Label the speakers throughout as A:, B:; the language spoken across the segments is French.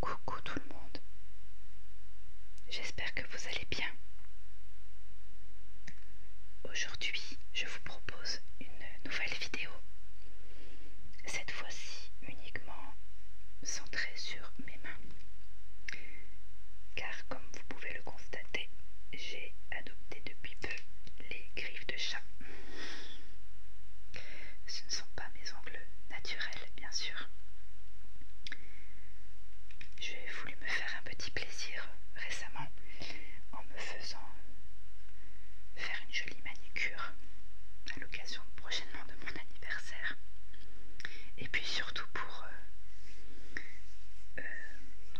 A: Coucou tout le monde. J'espère que vous allez bien. Aujourd'hui, je vous propose une nouvelle vidéo. Cette fois-ci uniquement sans sur mes mains. Car comme vous pouvez le constater, j'ai adopté depuis peu les griffes de chat. Ce ne sont pas mes ongles naturels, bien sûr. J'ai voulu me faire un petit plaisir récemment en me faisant faire une jolie manicure à prochainement de mon anniversaire. Et puis surtout pour, euh, euh,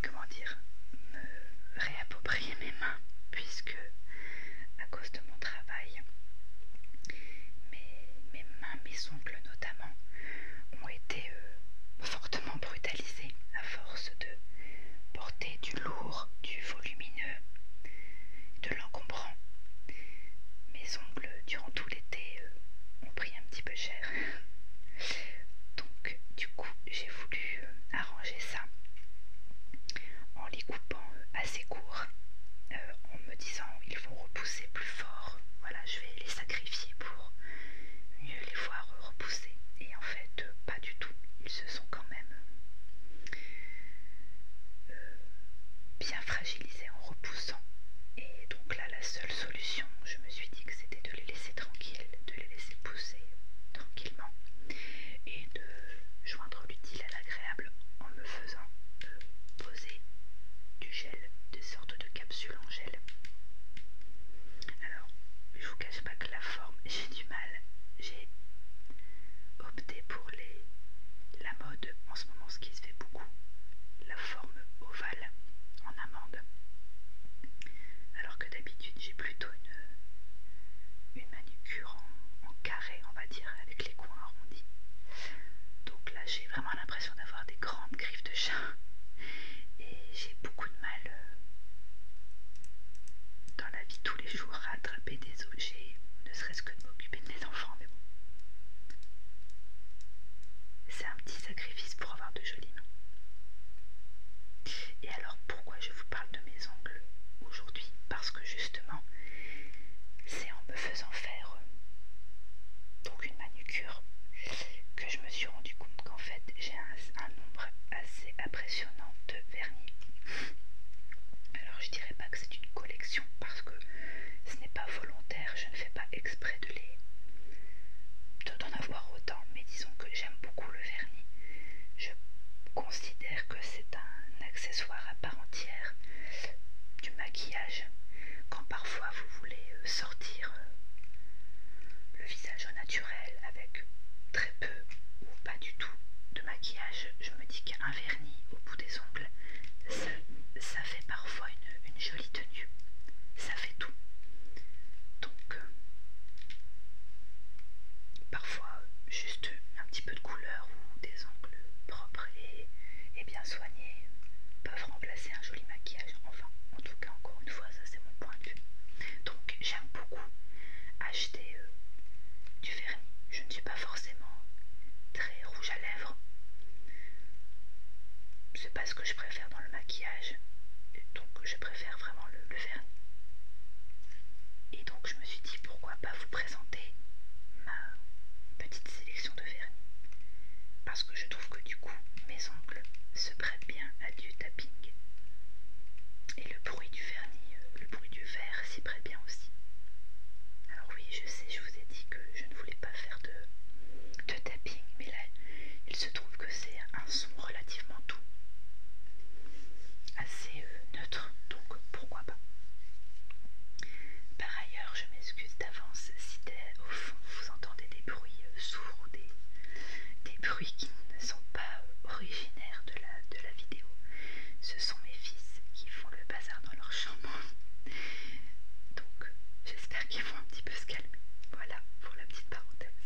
A: comment dire, me réapproprier mes mains, puisque à cause de mon travail, mes, mes mains, mes ongles notamment, ont été euh, fortement brutalisés à force de porter du lourd, du volumineux, l'encombrant. Mes ongles, durant tout l'été, euh, ont pris un petit peu cher. Donc, du coup, j'ai voulu euh, arranger ça en les coupant euh, assez courts, en me disant ils vont repousser plus fort. Voilà, je vais les sacrifier pour mieux les voir repousser. Et en fait, pas du tout. Ils se sont quand même bien fragiles en repoussant. Et donc là, la seule solution, je me suis dit que c'était de les laisser tranquilles, de les laisser pousser tranquillement et de joindre l'utile à l'agréable en me faisant euh, poser du gel, des sortes de capsules en gel. Alors, je vous cache pas que la forme, j'ai du mal. J'ai opté la mode en ce moment ce qui se fait beaucoup la forme ovale en amande alors que d'habitude j'ai plutôt une, manucure en, carré on va dire avec les coins arrondis donc là j'ai vraiment l'impression d'avoir des grandes griffes de chat et j'ai beaucoup de mal euh, dans la vie tous les jours à attraper des objets ne serait que de m'occuper de mes enfants, mais bon. C'est un petit sacrifice pour avoir de jolies mains. Et alors pourquoi je vous parle de mes ongles aujourd'hui Parce que justement, c'est en me faisant faire euh, donc une manucure que je me suis rendu compte qu'en fait j'ai un, un nombre assez impressionnant de vernis. Alors je dirais pas que c'est une collection parce que ce n'est pas volontaire, je ne fais pas exprès de les d'en avoir autant, mais disons que j'aime beaucoup le vernis. Je considère que c'est un accessoire à part entière du maquillage. Quand parfois vous voulez euh, sortir euh, le visage au naturel avec très peu ou pas du tout de maquillage, je me dis qu'un un vernis au bout des ongles, ça, fait parfois une, jolie tenue. Ça fait tout. Donc, euh, parfois juste un petit peu de couleur ou des ongles propres et, bien soignés peuvent remplacer un joli maquillage. Enfin, en tout cas, encore une fois, ça c'est mon point de vue. Donc, j'aime beaucoup acheter euh, du vernis. Je ne suis pas forcément très rouge à lèvres. C'est pas ce que je préfère dans le maquillage, donc je préfère vraiment le, vernis. Et donc je me suis dit pourquoi pas vous présenter ma petite sélection de vernis. Parce que je trouve que du coup mes ongles se prêtent bien à du tapping. Et le bruit du vernis, euh, le bruit du verre s'y prêtent bien aussi. Alors oui, je sais, je vous ai dit que je ne voulais pas faire de, tapping, mais là il se trouve que c'est un son relativement doux, assez euh, neutre, donc pourquoi pas. Par ailleurs, je m'excuse d'avance si au fond vous entendez des bruits euh, sourds ou des, bruits qui ne sont pas euh, originaires de la, de la vidéo. Ce sont mes fils qui font le bazar dans leur chambre. Donc j'espère qu'ils vont un petit peu se calmer. Voilà pour la petite parenthèse.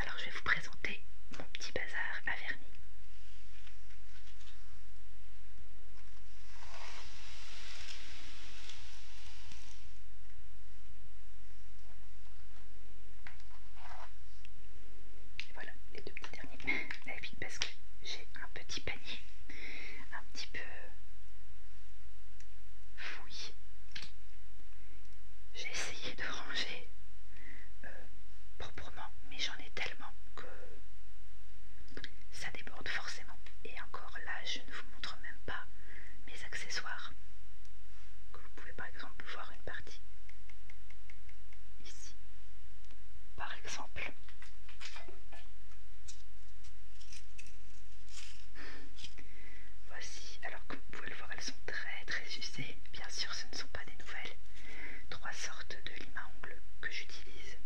A: Alors je vais vous présenter mon petit bazar à vernis. Voilà les deux petits derniers parce que j'ai un petit panier un petit peu fouillé J'ai essayé de ranger euh, proprement, mais j'en ai tellement que ça déborde forcément. Et encore là, je ne vous montre même pas mes accessoires. Que vous pouvez par exemple voir une partie ici. Par exemple. Voici, alors comme vous pouvez le voir, elles sont très très usées. Bien sûr, ce ne sont pas des nouvelles. Trois sortes de lima ongle que j'utilise.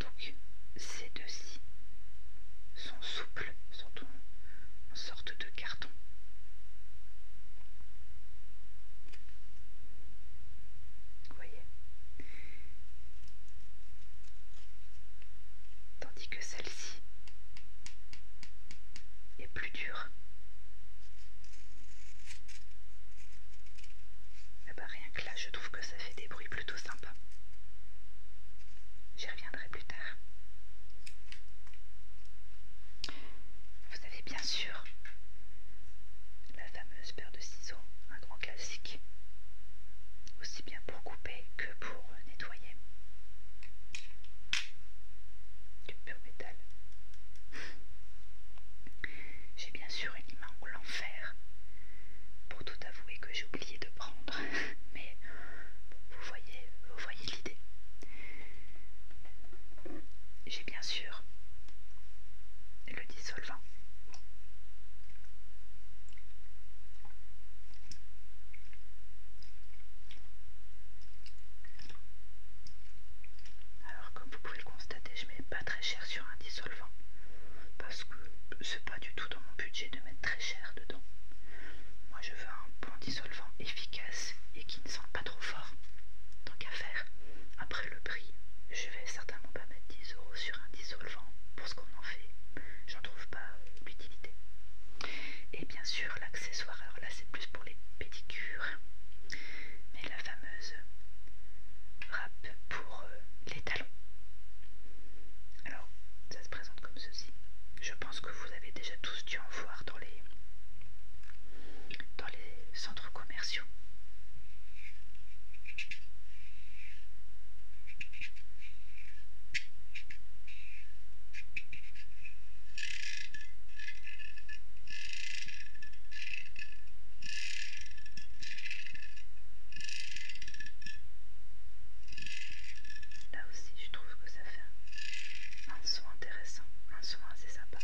A: Donc, ces deux-ci sont souples, sont en sorte de carton. Vous voyez tandis que celle-ci est plus dure. Eh ben, rien que là, je trouve que ça fait des bruits plutôt sympas. J'y reviendrai plus tard. Vous avez bien sûr la fameuse paire de ciseaux, un classique, aussi bien pour couper que pour nettoyer. Du pur métal. J'ai bien sûr une main en l'enfer. Pour tout avouer que j'ai oublié de prendre, mais vous voyez, vous voyez l'idée. J'ai bien sûr dissolvant. Alors comme vous pouvez le constater, je mets pas très cher sur un dissolvant parce que c'est pas du tout dans mon budget de mettre très cher dedans. Moi je veux un bon dissolvant efficace et qui ne sent pas trop fort. Donc à faire. Après le prix, je vais certainement pas mettre 10 euros sur un dissolvant pour ce qu'on en fait. J'en trouve pas euh, l'utilité. Et bien sûr, l'accessoire, alors là c'est plus pour les pédicures, mais la fameuse râpe pour euh, les talons. Alors, ça se présente comme ceci. Je pense que vous avez déjà tous dû en voir dans les, dans les centres commerciaux Là aussi, je trouve que ça fait un son intéressant, un son assez sympa.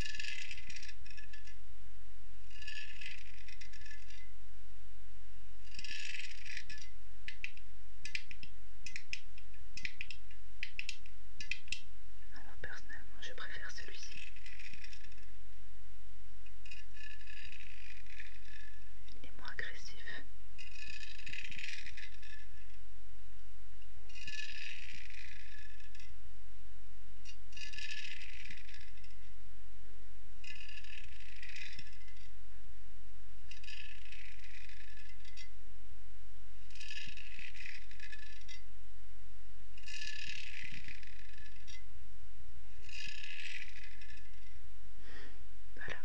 A: Alors personnellement je préfère celui-ci. Il est moins agressif. Voilà.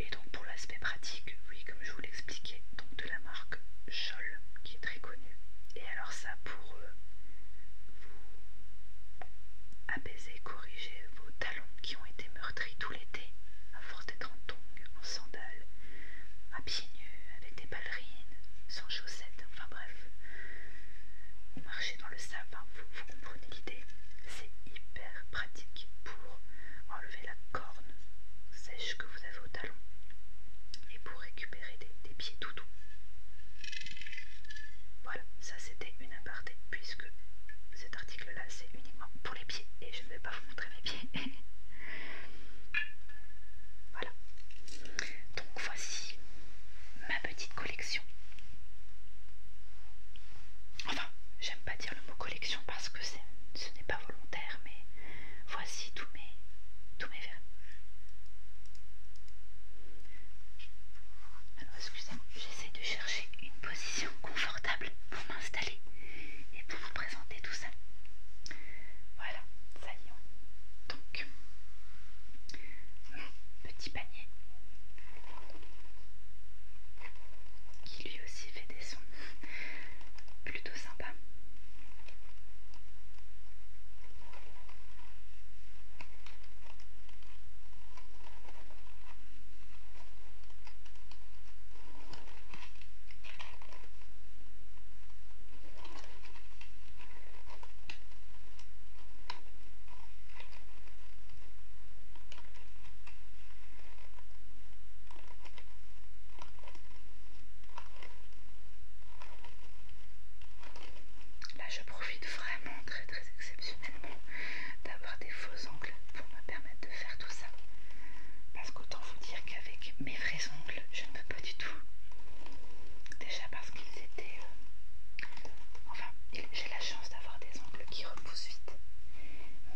A: Et donc pour l'aspect pratique, oui, comme je vous l'expliquais, donc de la marque Scholl qui est très connue. Et alors ça, pour euh, vous apaiser, corriger vos talons qui ont été meurtris tout l'été à force d'être en tongs, en sandales, à pieds nus, avec des ballerines, sans chaussettes, enfin bref. Vous marchez dans le sable, hein, vous, comprenez l'idée. C'est hyper pratique pour enlever la corne sèche que vous avez au talon et pour récupérer des, pieds pieds doux. Voilà, ça c'était une aparté puisque cet article là c'est uniquement pour les pieds et je ne vais pas vous montrer mes pieds. voilà. Donc voici ma petite collection. Enfin, j'aime pas dire le mot collection parce que ce n'est pas volontaire, mais voici tous mes, mes Alors excusez-moi, j'essaie de chercher une position confortable pour m'installer et pour vous présenter tout ça. Voilà, ça y est. Donc, petit panier qui lui aussi fait des sons plutôt sympas. Là, je profite très très exceptionnellement d'avoir des faux ongles pour me permettre de faire tout ça. Parce qu'autant vous dire qu'avec mes vrais ongles, je ne peux pas du tout. Déjà parce qu'ils étaient... Euh, enfin, j'ai la chance d'avoir des ongles qui repoussent vite.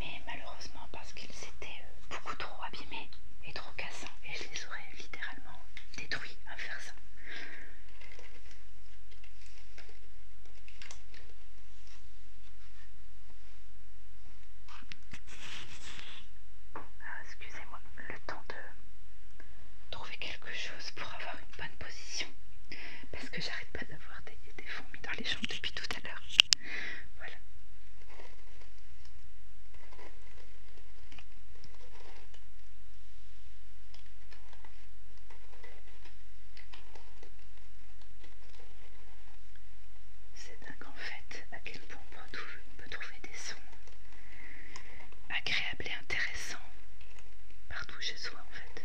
A: Mais malheureusement parce qu'ils étaient euh, beaucoup trop abîmés et trop cassants. Et je les aurais littéralement détruits oui à faire ça. Ah, excusez-moi, le temps de trouver quelque chose pour avoir une bonne position parce que j'arrête pas d'avoir des, des fourmis dans les jambes depuis tout à l'heure. Voilà. C'est dingue en fait à quel point on peut, on trouver des sons agréables et intéressants partout chez soi en fait.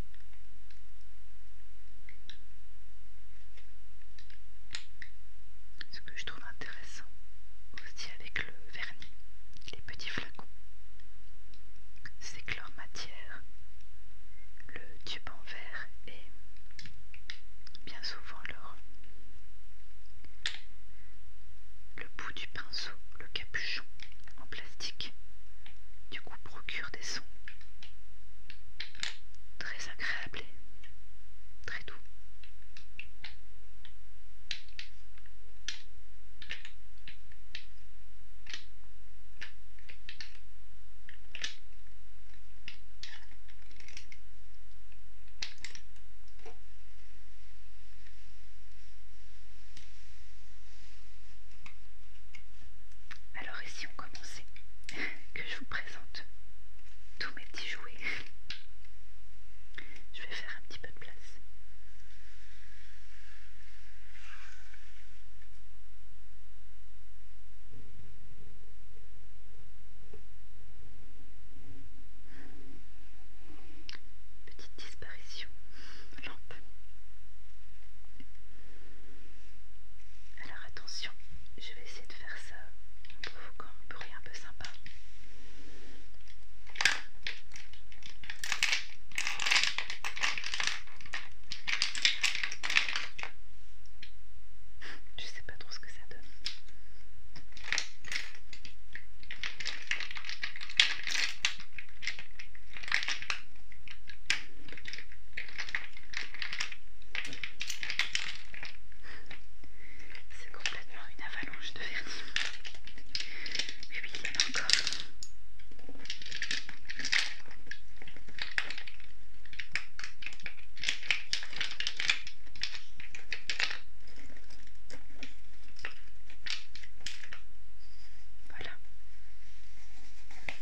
A: Ce que je trouve intéressant aussi avec le vernis, les petits flacons, c'est que leur matière, le tube en verre et bien souvent leur le bout du pinceau, le capuchon en plastique, du coup procure des sons très agréables et très doux. Alors ici on commençait que je vous présente tous mes petits jouets. Je vais faire un petit peu de place. Petite disparition, lampe attention. Je vais essayer de faire ça en provoquant un bruit un peu sympa. Je sais pas trop ce que ça donne. C'est complètement une avalanche de vernis. Et oui, il y en a encore. Voilà. Ça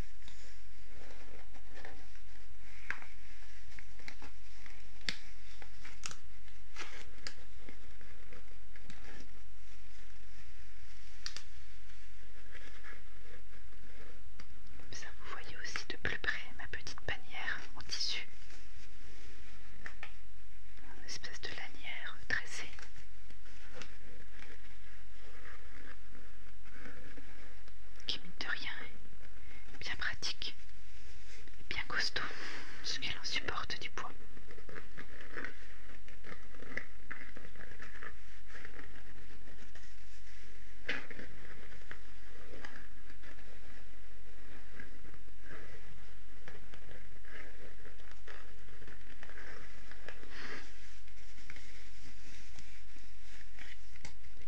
A: vous voyez aussi de plus près ma petite bannière en tissu. Une espèce de lanière tressée qui mine de rien bien pratique et bien costaud, ce qu'elle en supporte du poids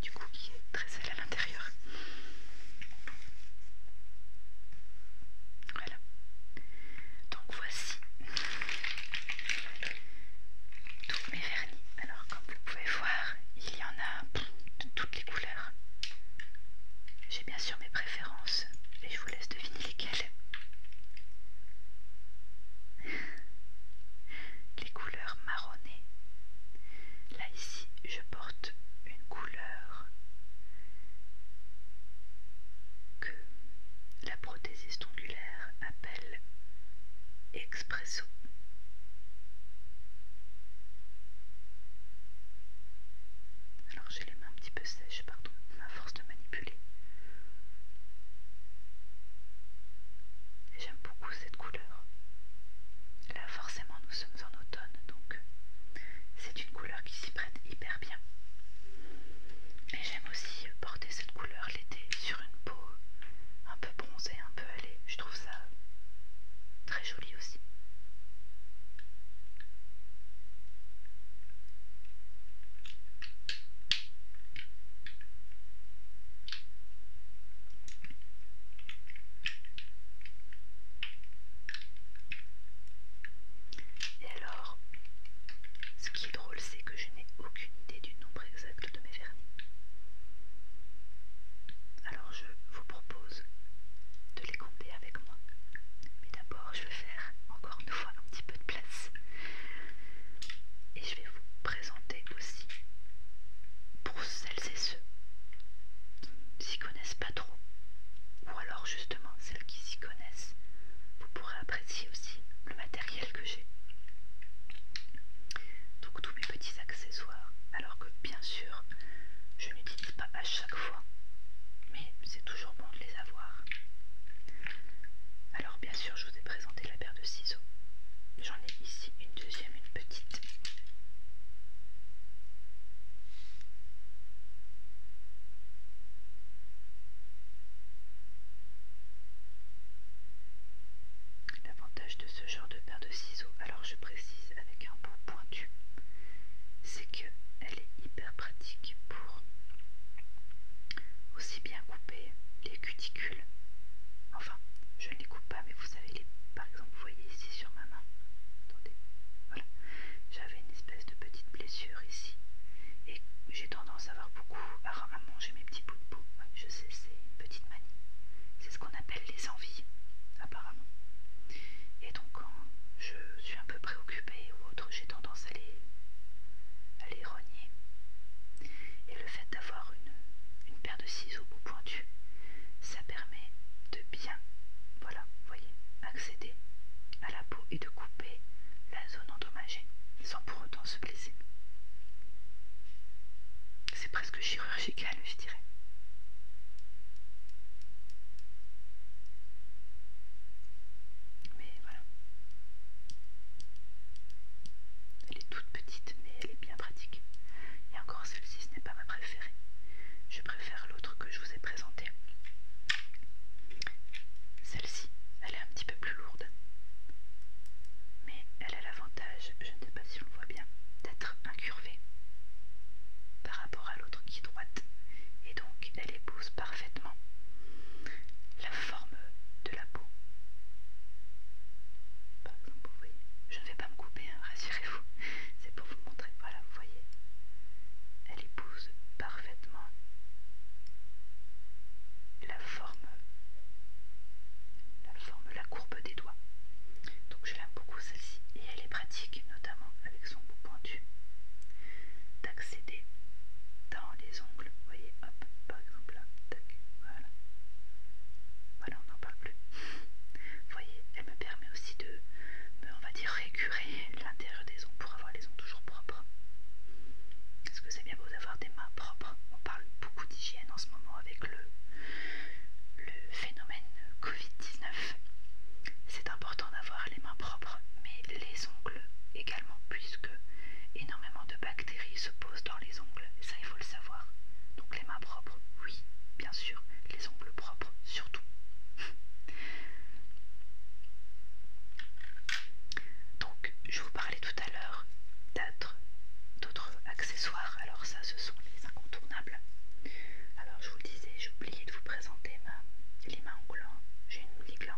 A: du coup qui est très sale à l'intérieur. Voilà. Donc voici tous mes vernis. Alors comme vous pouvez voir, il y en a de toutes les couleurs. J'ai bien sûr mes préférences et je vous laisse deviner lesquelles. Les couleurs couleur marronnée. Là ici, je porte une couleur que la prothésiste ongulaire appelle expresso. Alors j'ai les mains un petit peu sèches, pardon, à force de manipuler. J'aime cette couleur. Là forcément nous sommes en automne donc c'est une couleur qui s'y prête hyper bien. Et j'aime aussi porter cette couleur l'été sur une peau un peu bronzée, un peu allée. Je trouve ça très joli aussi. Et alors, ce qui est drôle, c'est que je n'ai aucune idée du nombre exact de mes vernis. Alors je vous propose de les compter avec moi. Mais d'abord, je vais faire encore une fois un petit peu de place. Et je vais vous présenter aussi pour celles et ceux qui ne s'y connaissent pas trop, ou alors justement celles qui s'y connaissent, vous pourrez apprécier aussi le matériel que j'ai. Donc tous mes petits accessoires, alors que bien sûr je n'utilise pas à chaque fois, mais c'est toujours bon de les avoir. Alors bien sûr je vous ai présenté la paire de ciseaux. J'en ai ici une deuxième, une petite. L'avantage de ce genre de paire de ciseaux, alors je précise avec un bout pointu, c'est que elle est hyper pratique pour aussi bien couper les cuticule. Enfin, je ne les coupe pas, mais vous savez, les, par exemple, vous voyez ici sur ma main. Attendez, voilà. J'avais une espèce de petite blessure ici. Et j'ai tendance à avoir beaucoup à, manger mes petits bouts de peau. je sais, c'est une petite manie. C'est ce qu'on appelle les envies, apparemment. Et donc, quand je suis un peu préoccupée ou autre, j'ai tendance à les, à rogner. Et le fait d'avoir une, une de ciseaux bout pointu, ça permet de bien, voilà, voyez, accéder à la peau et de couper la zone endommagée sans pour autant se blesser. C'est presque chirurgical, je dirais. Mais voilà. Elle est toute petite, mais elle est bien pratique. Et encore celle-ci, ce n'est pas ma préférée. Je préfère l'autre que je vous ai présentée. Celle-ci, elle est un petit peu plus lourde. Mais elle a l'avantage, je ne sais pas si on le voit bien, d'être incurvée par rapport à l'autre qui est droite. Et donc, elle épouse parfaitement la forme la peau. Par exemple, vous je ne vais pas me couper, hein, rassurez-vous, c'est pour vous montrer. Voilà, vous voyez, elle épouse parfaitement la forme, la forme, la courbe des doigts. Donc je l'aime beaucoup celle-ci et elle est pratique, notamment avec son bout pointu, d'accéder dans les ongles. Vous voyez, hop, par exemple là, voilà. Voilà, on n'en parle plus. Vous voyez, elle me permet aussi de on va dire, récurer l'intérieur des ongles pour avoir les ongles toujours propres. Parce que c'est bien beau d'avoir des mains propres. On parle beaucoup d'hygiène en ce moment avec le, le phénomène Covid-19. C'est important d'avoir les mains propres, mais les ongles également, puisque énormément de bactéries se posent dans les ongles, ça il faut le savoir. Donc les mains propres, oui, bien sûr, les ongles propres, surtout. Donc, je vous parlais tout à l'heure d'autres accessoires, alors ça ce sont les incontournables. Alors je vous disais, j'ai oublié de vous présenter ma, les mains en J'ai une les en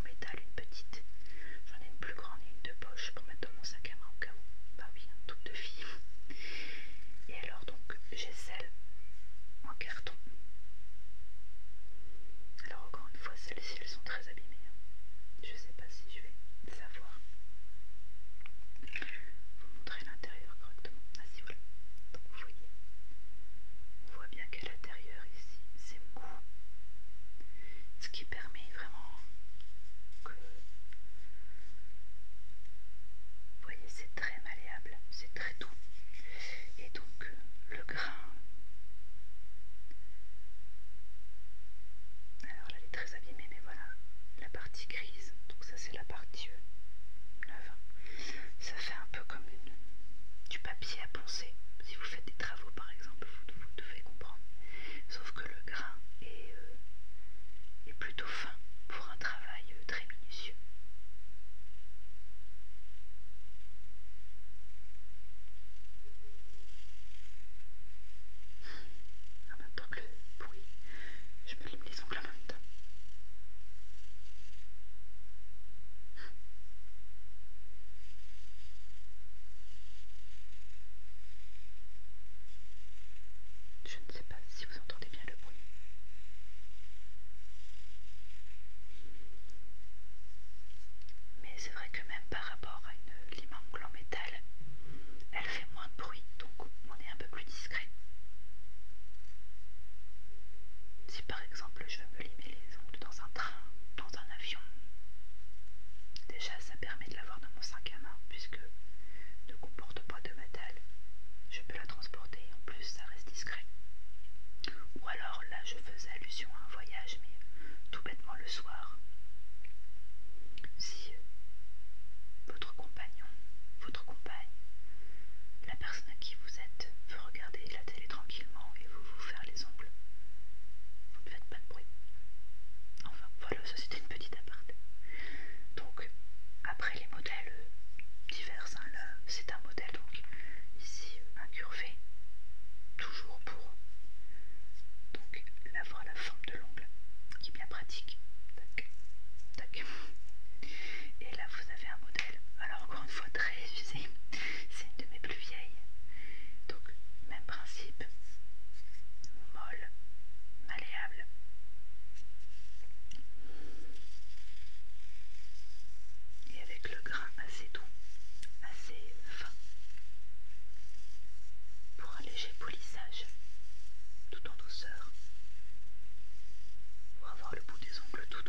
A: métal, une petite, j'en ai une plus grande et une de poche pour mettre dans mon sac à main bah oui, toutes de Et alors, donc, j'ai celle en carton. Alors, encore une fois, celles-ci, elles sont très abîmées. Hein. Je sais pas si je vais savoir vous montrer l'intérieur correctement. Ah, si, voilà. Donc, vous voyez, on voit bien qu'à l'intérieur, ici, c'est mou permet vraiment que... Vous voyez, c'est très malléable, c'est très doux. Et donc, euh, le grain... Alors là, il est très abîmée, mais voilà, la partie grise, donc ça c'est la partie euh, neuve. Ça fait un peu comme du papier à poncer. Si vous faites des travaux, par exemple, vous, vous devez comprendre. Sauf que le grain est, euh, plutôt fin pour un travail euh, très minutieux. En même temps que le bruit, je me lime les ongles en même temps. Je ne sais pas si vous entendez bien le bruit. Mais c'est vrai que même par rapport à une limangle en métal, elle fait moins de bruit, donc on est un peu plus discret. Si par exemple je veux me limer les ongles dans un train, dans un avion, déjà ça permet de l'avoir dans mon sac puisque ne comporte pas de métal. Je peux la transporter, en plus ça reste discret. Ou alors là je faisais allusion à un voyage, mais tout bêtement le soir. Si euh, votre compagnon, votre compagne, la personne à qui vous êtes veut regarder la télé tranquillement et vous vous faire les ongles, vous ne faites pas de bruit. Enfin, ça c'était une petite aparté. Donc, après les modèles divers, hein, c'est un modèle donc ici incurvé, toujours pour donc l'avoir la forme de l'ongle qui est bien pratique. Et là vous avez un modèle, alors encore une fois très usé, c'est une de mes plus vieilles même principe, molle, malléable. Et avec le grain assez doux, assez fin, pour un léger polissage, tout en douceur, pour avoir le bout des ongles tout doux.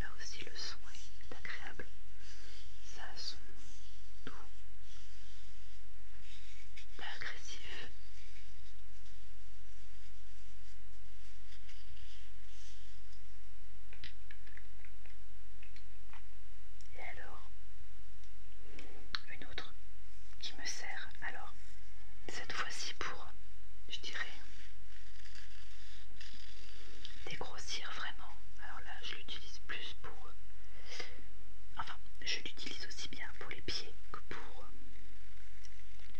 A: Là aussi le son est agréable, ça a son doux, pas agressif et alors une autre qui me sert alors cette fois-ci pour je dirais dégrossir vraiment alors là je l'utilise plus pour enfin je l'utilise aussi bien pour les pieds que pour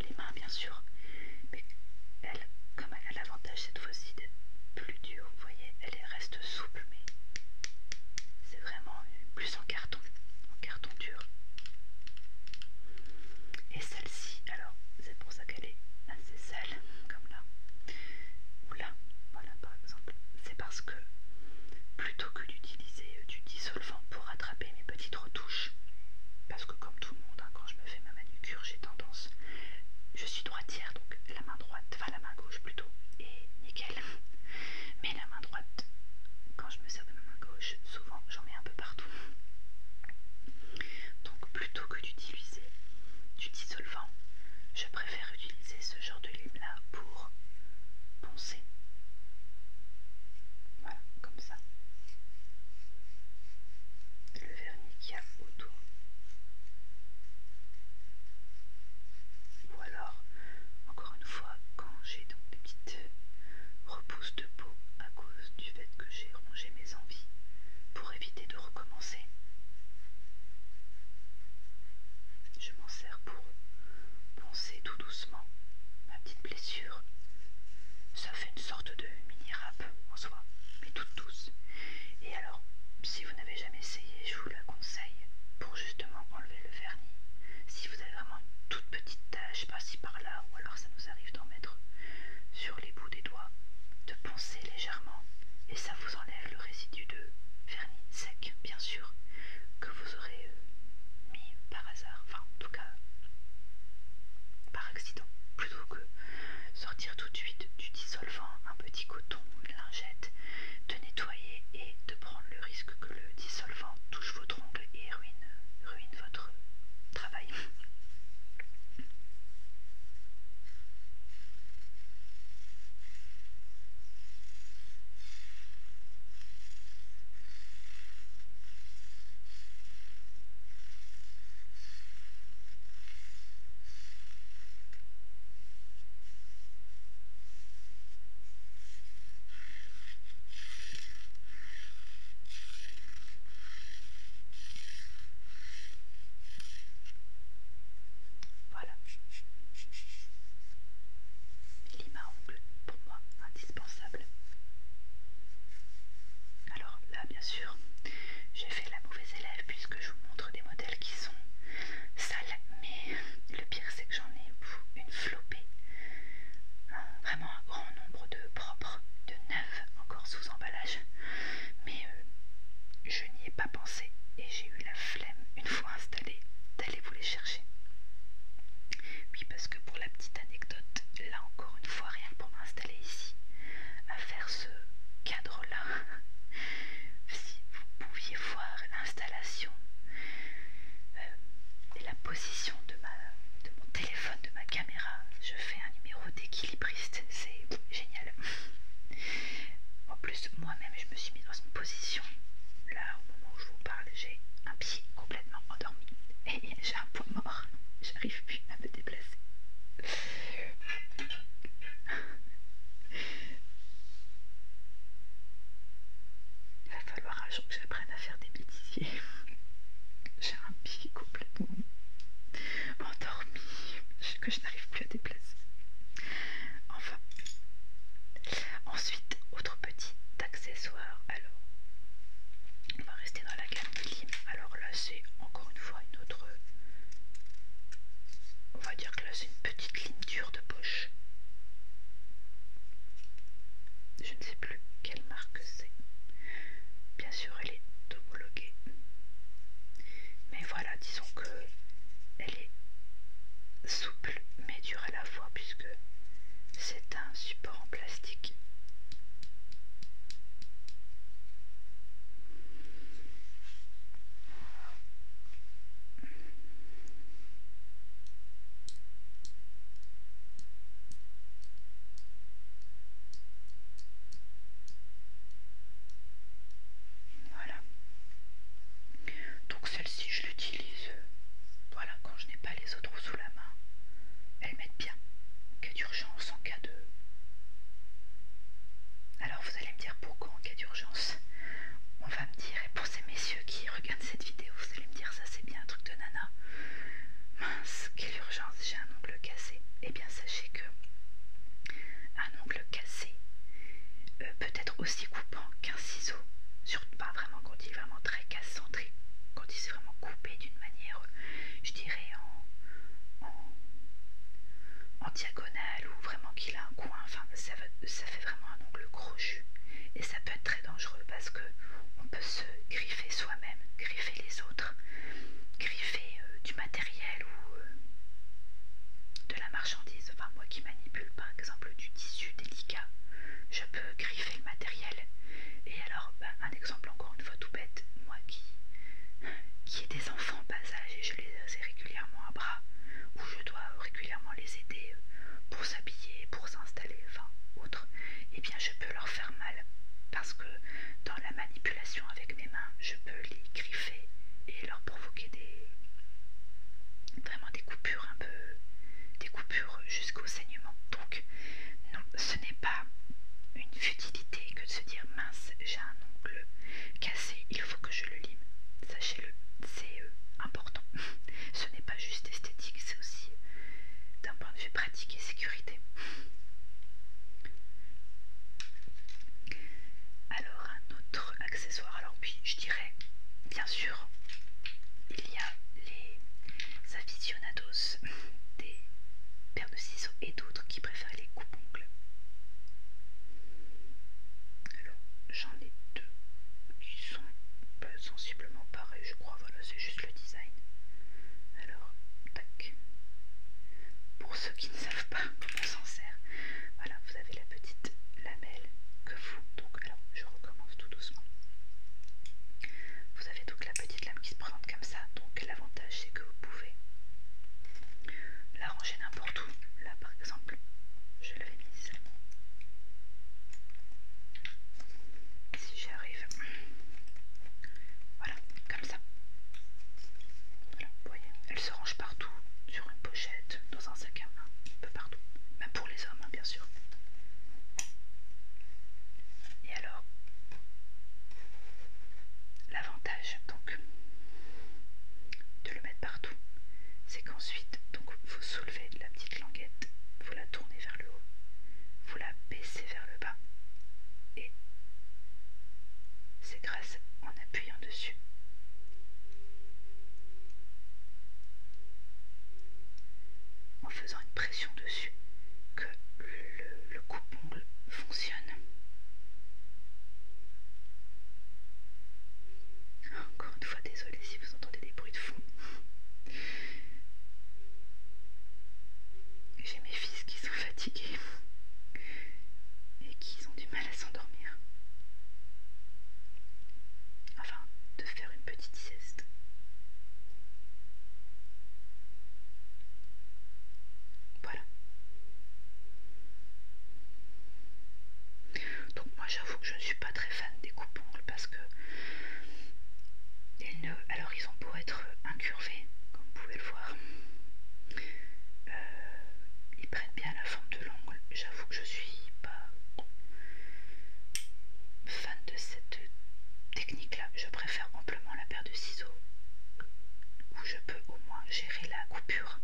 A: les mains bien sûr mais elle comme elle a l'avantage cette fois-ci d'être plus dure vous voyez elle reste souple mais c'est vraiment plus en carton, en carton dur. Et celle-ci, alors c'est pour ça qu'elle est assez sale, comme là, ou là, voilà par exemple. C'est parce que plutôt que d'utiliser du dissolvant pour attraper mes petites retouches, parce que comme tout le monde, hein, quand je me fais ma manucure, j'ai tendance, je suis droitière, donc la main droite, enfin la main gauche plutôt, et nickel. Mais la main droite, quand je me sers de ma main gauche, souvent j'en mets un peu partout. Donc plutôt que d'utiliser du dissolvant, je préfère utiliser ce genre de lime là pour poncer. Voilà, comme ça. Le vernis qui a ou alors, encore une fois, quand j'ai donc des petites repousses de peau à cause du fait que j'ai rongé mes envies pour éviter de recommencer, je m'en sers pour poncer tout doucement ma petite blessure. Ça fait une sorte de mini rap en soi, mais toute douce. Et alors, si vous n'avez jamais essayé, je vous la conseille pour justement enlever le vernis. Si vous avez vraiment une toute petite tache par si par-là, ou alors ça nous arrive d'en mettre sur les bouts des doigts, de poncer légèrement et ça vous enlève le résidu de vernis sec, bien sûr, que vous aurez euh, mis par hasard, enfin en tout cas par accident, plutôt que sortir tout de suite du dissolvant un petit coton, lingette, de nettoyer et de prendre le risque que le dissolvant touche votre ongle et ruine votre travail. Voilà. l'ima à ongles, pour moi, indispensable. Alors là, bien sûr, j'ai fait la mauvaise élève puisque je vous montre des modèles sont sales, mais le pire c'est que j'en ai une flopée, vraiment un grand nombre de propres, de neufs encore sous emballage, mais euh, je n'y ai pas pensé et j'ai eu la flemme une fois installée d'aller vous les chercher. Oui, parce que pour la petite anecdote, là encore une fois, rien pour m'installer ici, à faire ce si vous pouviez voir l'installation euh, et la position de, ma, de mon téléphone, de ma caméra, je fais un numéro d'équilibriste, c'est génial. En plus, moi-même, je me suis mis dans une position, là, au moment où je vous parle, j'ai un pied complètement endormi et j'ai un poids mort, j'arrive plus à me déplacer. Il va falloir un jour que j'apprenne à faire des bêtises. J'ai un pied complètement endormi que je n'arrive plus à déplacer. Enfin. Ensuite, autre petit accessoire. Alors, on va rester dans la gamme de Lime. Alors là, c'est encore une fois une autre. On va dire que là, c'est une petite dure de poche. Je ne sais plus quelle marque c'est. Bien sûr, elle est homologuée. Mais voilà, disons que elle est souple mais dure à la fois puisque c'est un support en plastique. Voilà. Donc celle-ci, je l'utilise. Voilà, quand je n'ai pas les autres sous la main, elles m'aident bien. En cas d'urgence, en cas de alors vous allez me dire pourquoi en cas d'urgence On va me dire, et pour ces messieurs qui regardent cette vidéo, vous allez me dire ça c'est bien un truc de nana. Mince, quelle urgence, j'ai un ongle cassé. et eh bien sachez que un ongle cassé euh, peut être aussi coupant qu'un ciseau. Surtout pas vraiment quand il est vraiment très cassant, quand il s'est vraiment coupé d'une manière, je dirais en, en, en diagonale ou vraiment qui il a un coin, enfin ça, fait vraiment un ongle crochu et ça peut être très dangereux parce que on peut se griffer soi-même, griffer les autres, griffer euh, du matériel ou euh, de la marchandise. Enfin moi qui manipule par exemple du tissu délicat, je peux griffer le matériel. Et alors bah, un exemple encore une fois tout bête, moi qui qui ai des enfants bas âge les ai régulièrement à bras, où je dois euh, régulièrement les aider euh, pour s'habiller, pour s'installer, enfin autre, et eh bien je peux leur faire mal parce que dans la manipulation avec mes mains, je peux les griffer et leur provoquer des vraiment des coupures un peu des coupures jusqu'au saignement. Donc non, ce n'est pas une futilité que de se dire mince, j'ai un oncle cassé, il faut que je le lime. Sachez-le, c'est euh, important. ce n'est pas juste esthétique, c'est aussi euh, d'un point de vue pratique et sécurité. Alors, un autre accessoire. Alors, oui, je dirais, bien sûr, il y a les aficionados des paires de ciseaux et d'autres qui préfèrent les coupes-ongles. Alors, j'en ai deux qui sont sensiblement pareils, je crois. Voilà, c'est juste le design. Alors, tac. Pour ceux qui ne savent pas comment s'en sert, voilà, vous avez la petite lamelle que vous. Donc, alors, je recommence tout doucement. Vous avez donc la petite lame qui se présente comme ça. Donc, l'avantage, c'est que vous pouvez la ranger n'importe Là par exemple, je l'avais mise. Si j'y arrive, voilà, comme ça. Voilà, vous voyez, elle se range partout, sur une pochette, dans un sac à main, un peu partout. Même pour les hommes, hein, bien sûr. Et alors, l'avantage donc de le mettre partout c'est qu'ensuite, donc vous soulevez la petite languette, vous la tournez vers le haut, vous la baissez vers le bas, et c'est grâce en appuyant dessus en faisant une pression dessus que le, le coupe fonctionne. Encore une fois, désolé si vous entendez des bruits de fond. J'ai mes fils qui sont fatigués et qui ont du mal à s'endormir. Enfin, de faire une petite sieste. Voilà. Donc moi j'avoue que je ne suis pas très fan des coupes-ongles parce que ils ne, alors ils ont beau être incurvés, comme vous pouvez le voir, euh, ils prennent bien la forme de l'ongle. J'avoue que je suis pas fan de cette technique là. Je préfère amplement la paire de ciseaux où je peux au moins la coupure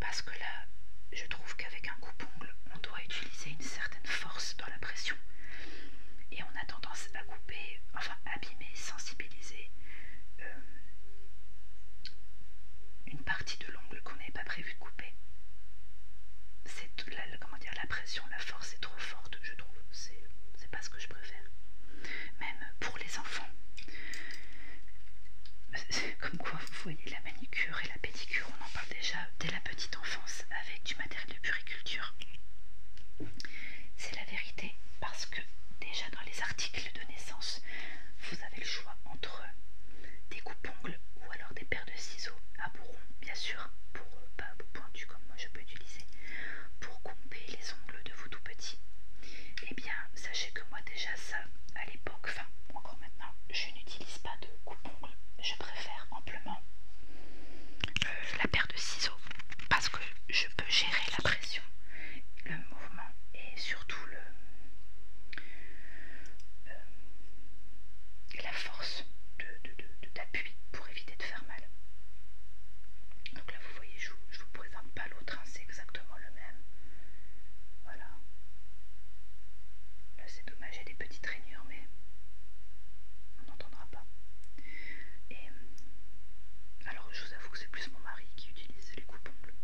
A: parce que là je trouve qu'avec un coupe-ongle on doit utiliser une certaine force dans la pression et on a tendance à couper, enfin abîmer, sensibiliser euh, une partie de l'ongle qu'on n'avait pas prévu de couper. C'est la, comment dire, la pression, la force est trop forte, je trouve. C'est pas ce que je préfère. Même pour les enfants, Comme quoi, vous voyez, la manicure et la pédicure, on en parle déjà dès la petite enfance avec du matériel de puriculture. C'est la vérité parce que déjà dans les articles de naissance, vous avez le choix entre des coupes-ongles ou alors des paires de ciseaux à bout rond, bien sûr, pour euh, pas à bout pointu comme moi je peux utiliser, pour couper les ongles de vos tout petits Eh bien, sachez que moi déjà ça, à enfin encore maintenant, je n'utilise pas de coupe-ongle. Je préfère amplement euh, la paire de ciseaux parce que je peux gérer la pression, le mouvement et surtout le, euh, la force d'appui de, pour éviter de faire mal. Donc là vous voyez, je ne vous, présente pas l'autre, hein, c'est exactement le même. Voilà. Là c'est dommage, il y a des petites rainures, mais on n'entendra pas. Et euh, alors je vous avoue que c'est plus mon mari qui utilise les coupons bleus.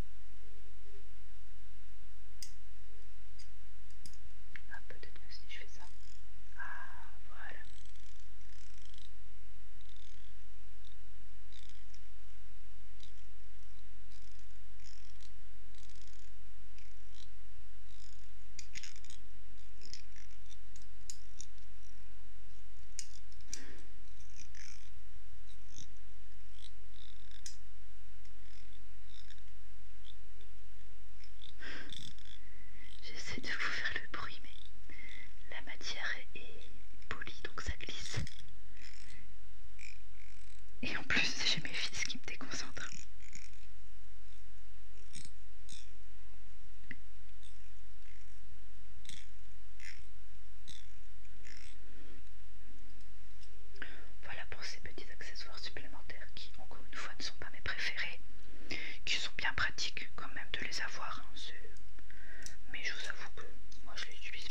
A: Ah peut-être que si je fais ça. Ah voilà. J'essaie de vous faire le bruit, mais la matière est polie donc ça glisse. Et en plus, j'ai mes fils qui me déconcentrent. Voilà pour ces petits accessoires supplémentaires qui, encore une fois, ne sont pas mes préférés, qui sont bien pratiques quand même de les avoir. Hein, mais je vous avoue que moi je les utilise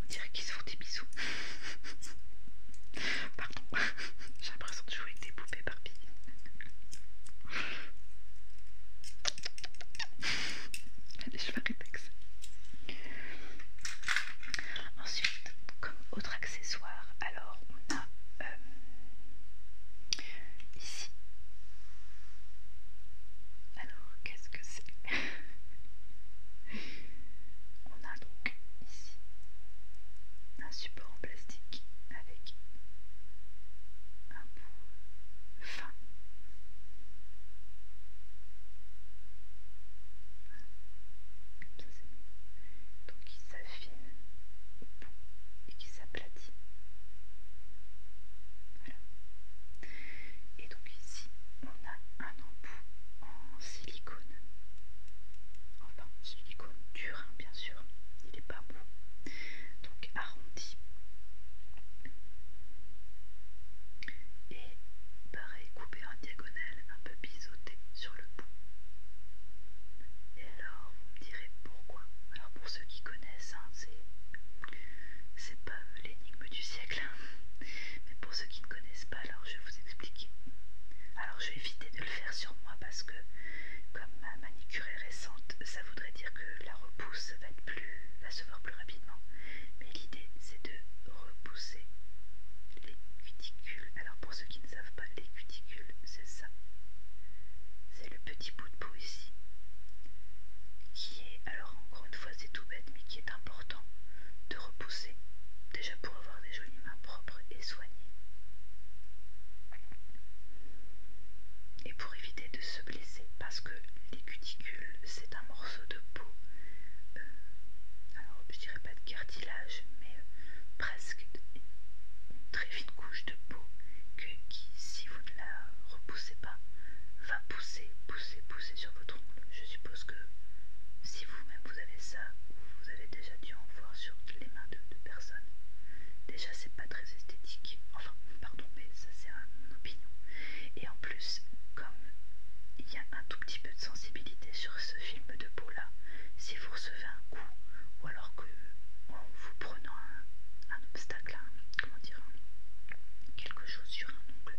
A: On dirait qu'ils se font des bisous. Pardon, j'ai l'impression de jouer avec des poupées Barbie. Allez, je vais arrêter ça. Ensuite, comme autre accessoire, alors on a euh, Ici. Alors, qu'est-ce que c'est On a donc ici un support en plastique avec un bout fin. Comme ça c'est mieux. Donc il s'affine au bout et qui s'appelle et donc ici, on a un embout en silicone. Enfin, silicone dur, hein, bien sûr. Il n'est pas mou. Donc arrondi. Et pareil, coupé en diagonale, un peu biseauté sur le bout. Et alors, vous me direz pourquoi Alors pour ceux qui connaissent, hein, c'est c'est pas euh, l'énigme du siècle, hein. mais pour ceux qui ne connaissent pas, alors je vais vous expliquer. Alors je vais éviter de le faire sur moi parce que, comme ma manicure est récente, ça voudrait dire que la repousse va, être plus, va se voir plus rapidement. Mais l'idée c'est de repousser les cuticules. Alors pour ceux qui ne savent pas, les cuticules c'est ça. C'est le petit bout de ici qui est, alors encore une fois c'est tout bête, mais qui est important de repousser, déjà pour avoir des jolies mains propres et soignées, et pour éviter de se blesser, parce que les cuticules c'est un morceau de peau, euh, alors je dirais pas de cartilage, mais euh, presque une, très fine couche peau que, qui, si vous ne la repoussez pas, va pousser, pousser, pousser sur votre ongle. Je suppose que si vous-même vous avez ça, vous avez déjà dû en voir sur les mains de, deux personnes, déjà c'est pas très esthétique. Enfin, pardon, mais ça c'est mon opinion. Et en plus, comme il y a un tout petit peu de sensibilité sur ce film de peau là, si vous recevez un coup, ou alors que en vous prenant un, obstacle, comment dire, quelque chose sur un ongle,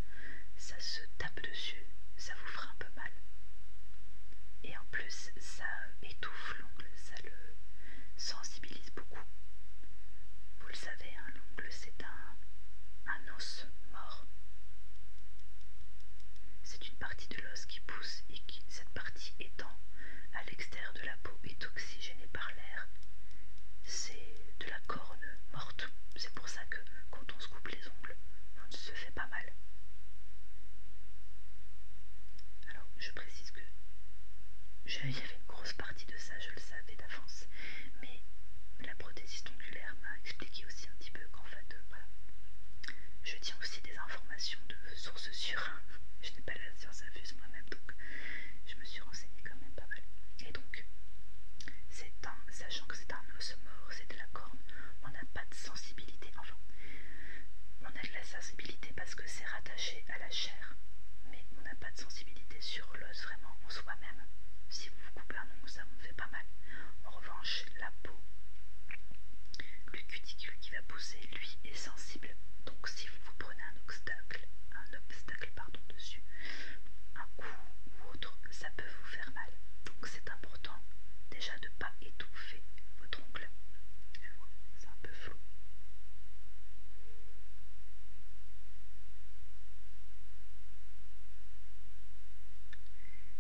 A: ça se tape dessus, ça vous fera un peu mal. Et en plus, ça étouffe l'ongle, ça le sensibilise beaucoup. Vous le savez, un ongle c'est un, un os mort. C'est une partie de l'os qui pousse et qui, cette partie étant à l'extérieur de la peau est oxygénée par l'air, c'est de la corne morte. C'est pour ça que quand on se coupe les ongles, on se fait pas mal. Alors, je précise que j'avais y avait une grosse partie de ça, je le savais d'avance, mais la prothésiste ongulaire m'a expliqué aussi un petit peu qu'en fait, euh, voilà, je tiens aussi des informations de sources sûres. je n'ai pas la science infuse moi-même, je me suis renseignée quand même pas mal. Et donc, c'est un, sachant que c'est un os mort, c'est de la corne, on n'a pas de sensibilité, enfin, on a de la sensibilité parce que c'est rattaché à la chair, mais on n'a pas de sensibilité sur l'os vraiment en soi-même. Si vous vous coupez un ongle, ça vous fait pas mal. En revanche, la peau, le cuticule qui va pousser, lui, est sensible. Donc si vous vous prenez un obstacle, un obstacle, pardon, dessus, un coup ou autre, ça peut vous faire mal. Donc c'est important déjà de ne pas étouffer votre ongle. C'est un peu flou.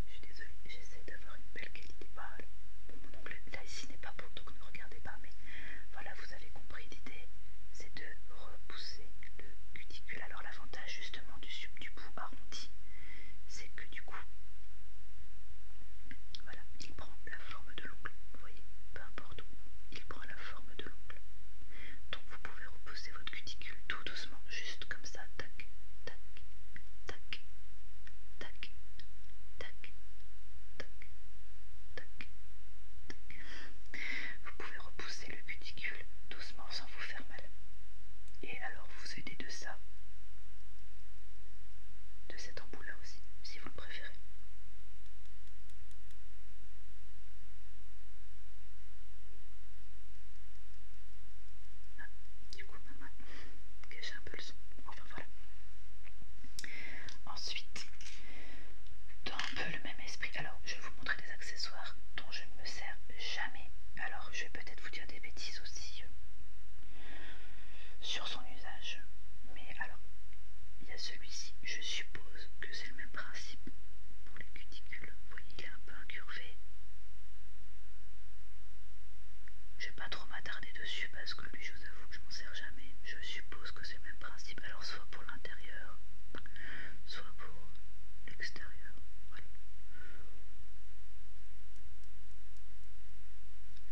A: Je suis désolée, j'essaie d'avoir une belle qualité bah, mon ongle là ici n'est pas beau, donc ne regardez pas, mais voilà, vous avez compris l'idée. C'est de repousser le cuticule. Alors l'avantage justement du, du bout arrondi, c'est que du coup, voilà, il prend la forme de l'ongle. Vous voyez, peu importe où, il prend la forme de l'ongle. Donc vous pouvez repousser votre cuticule tout doucement, juste comme ça, tac, tac, tac, tac, tac, vous pouvez repousser le cuticule doucement sans vous faire mal. Et alors vous aidez de ça, de cet embout là aussi, si vous le préférez. Ah, du coup, ma main un peu le son. Enfin voilà. Ensuite, peu le même esprit. Alors, je vais vous montrer des accessoires dont je ne me sers jamais. Alors, je vais peut-être vous dire des bêtises aussi euh, sur son usage. Mais alors, il y a celui-ci. Je suppose que c'est le même principe pour les cuticules. Vous voyez, il est un peu incurvé. Je vais pas trop m'attarder dessus parce que lui, je vous avoue que je m'en sers jamais. Je suppose que c'est le même principe. Alors, soit pour l'intérieur, soit pour l'extérieur.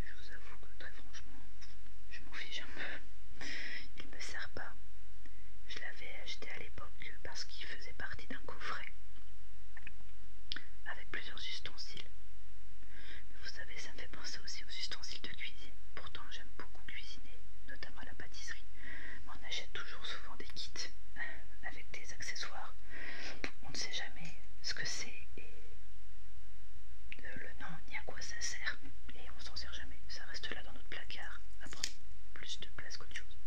A: Je vous avoue que très franchement, je m'en fiche un peu. Il ne me sert pas. Je l'avais acheté à l'époque parce qu'il faisait partie d'un coffret avec plusieurs ustensiles. vous savez, ça me fait penser aussi aux ustensiles style de cuisine. Pourtant, j'aime beaucoup cuisiner, notamment la pâtisserie. on achète toujours souvent des kits euh, avec des accessoires. On ne sait jamais ce que c'est et le nom ni à quoi ça sert. Et on s'en sert jamais. Ça reste là dans notre placard à prendre plus de place qu'autre chose.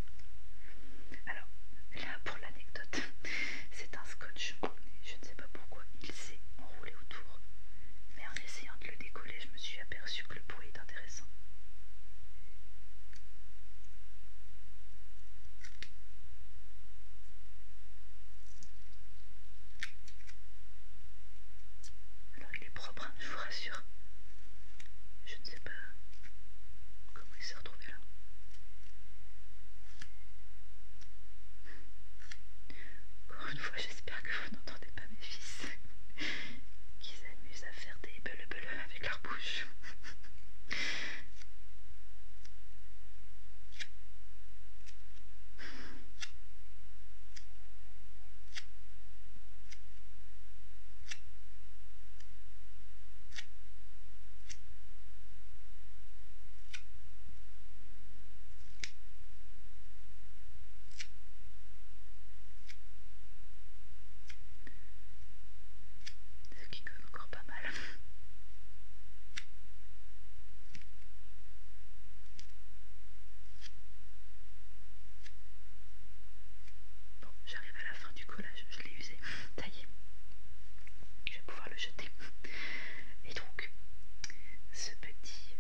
A: Alors, là pour l'anecdote, c'est un scotch. Je ne sais pas pourquoi il s'est enroulé autour. Mais en essayant de le décoller, je me suis aperçu que le bruit est intéressant. Alors il est propre, hein, je vous rassure. Je ne sais pas comment il s'est retrouvé là. Encore une fois j'espère que vous n'entendez pas mes fils qui s'amusent à faire des beleux avec leur bouche. Ce qui colle encore pas mal. Bon, j'arrive à la fin du collage, je l'ai usé, ça je vais pouvoir le jeter. Et donc, ce petit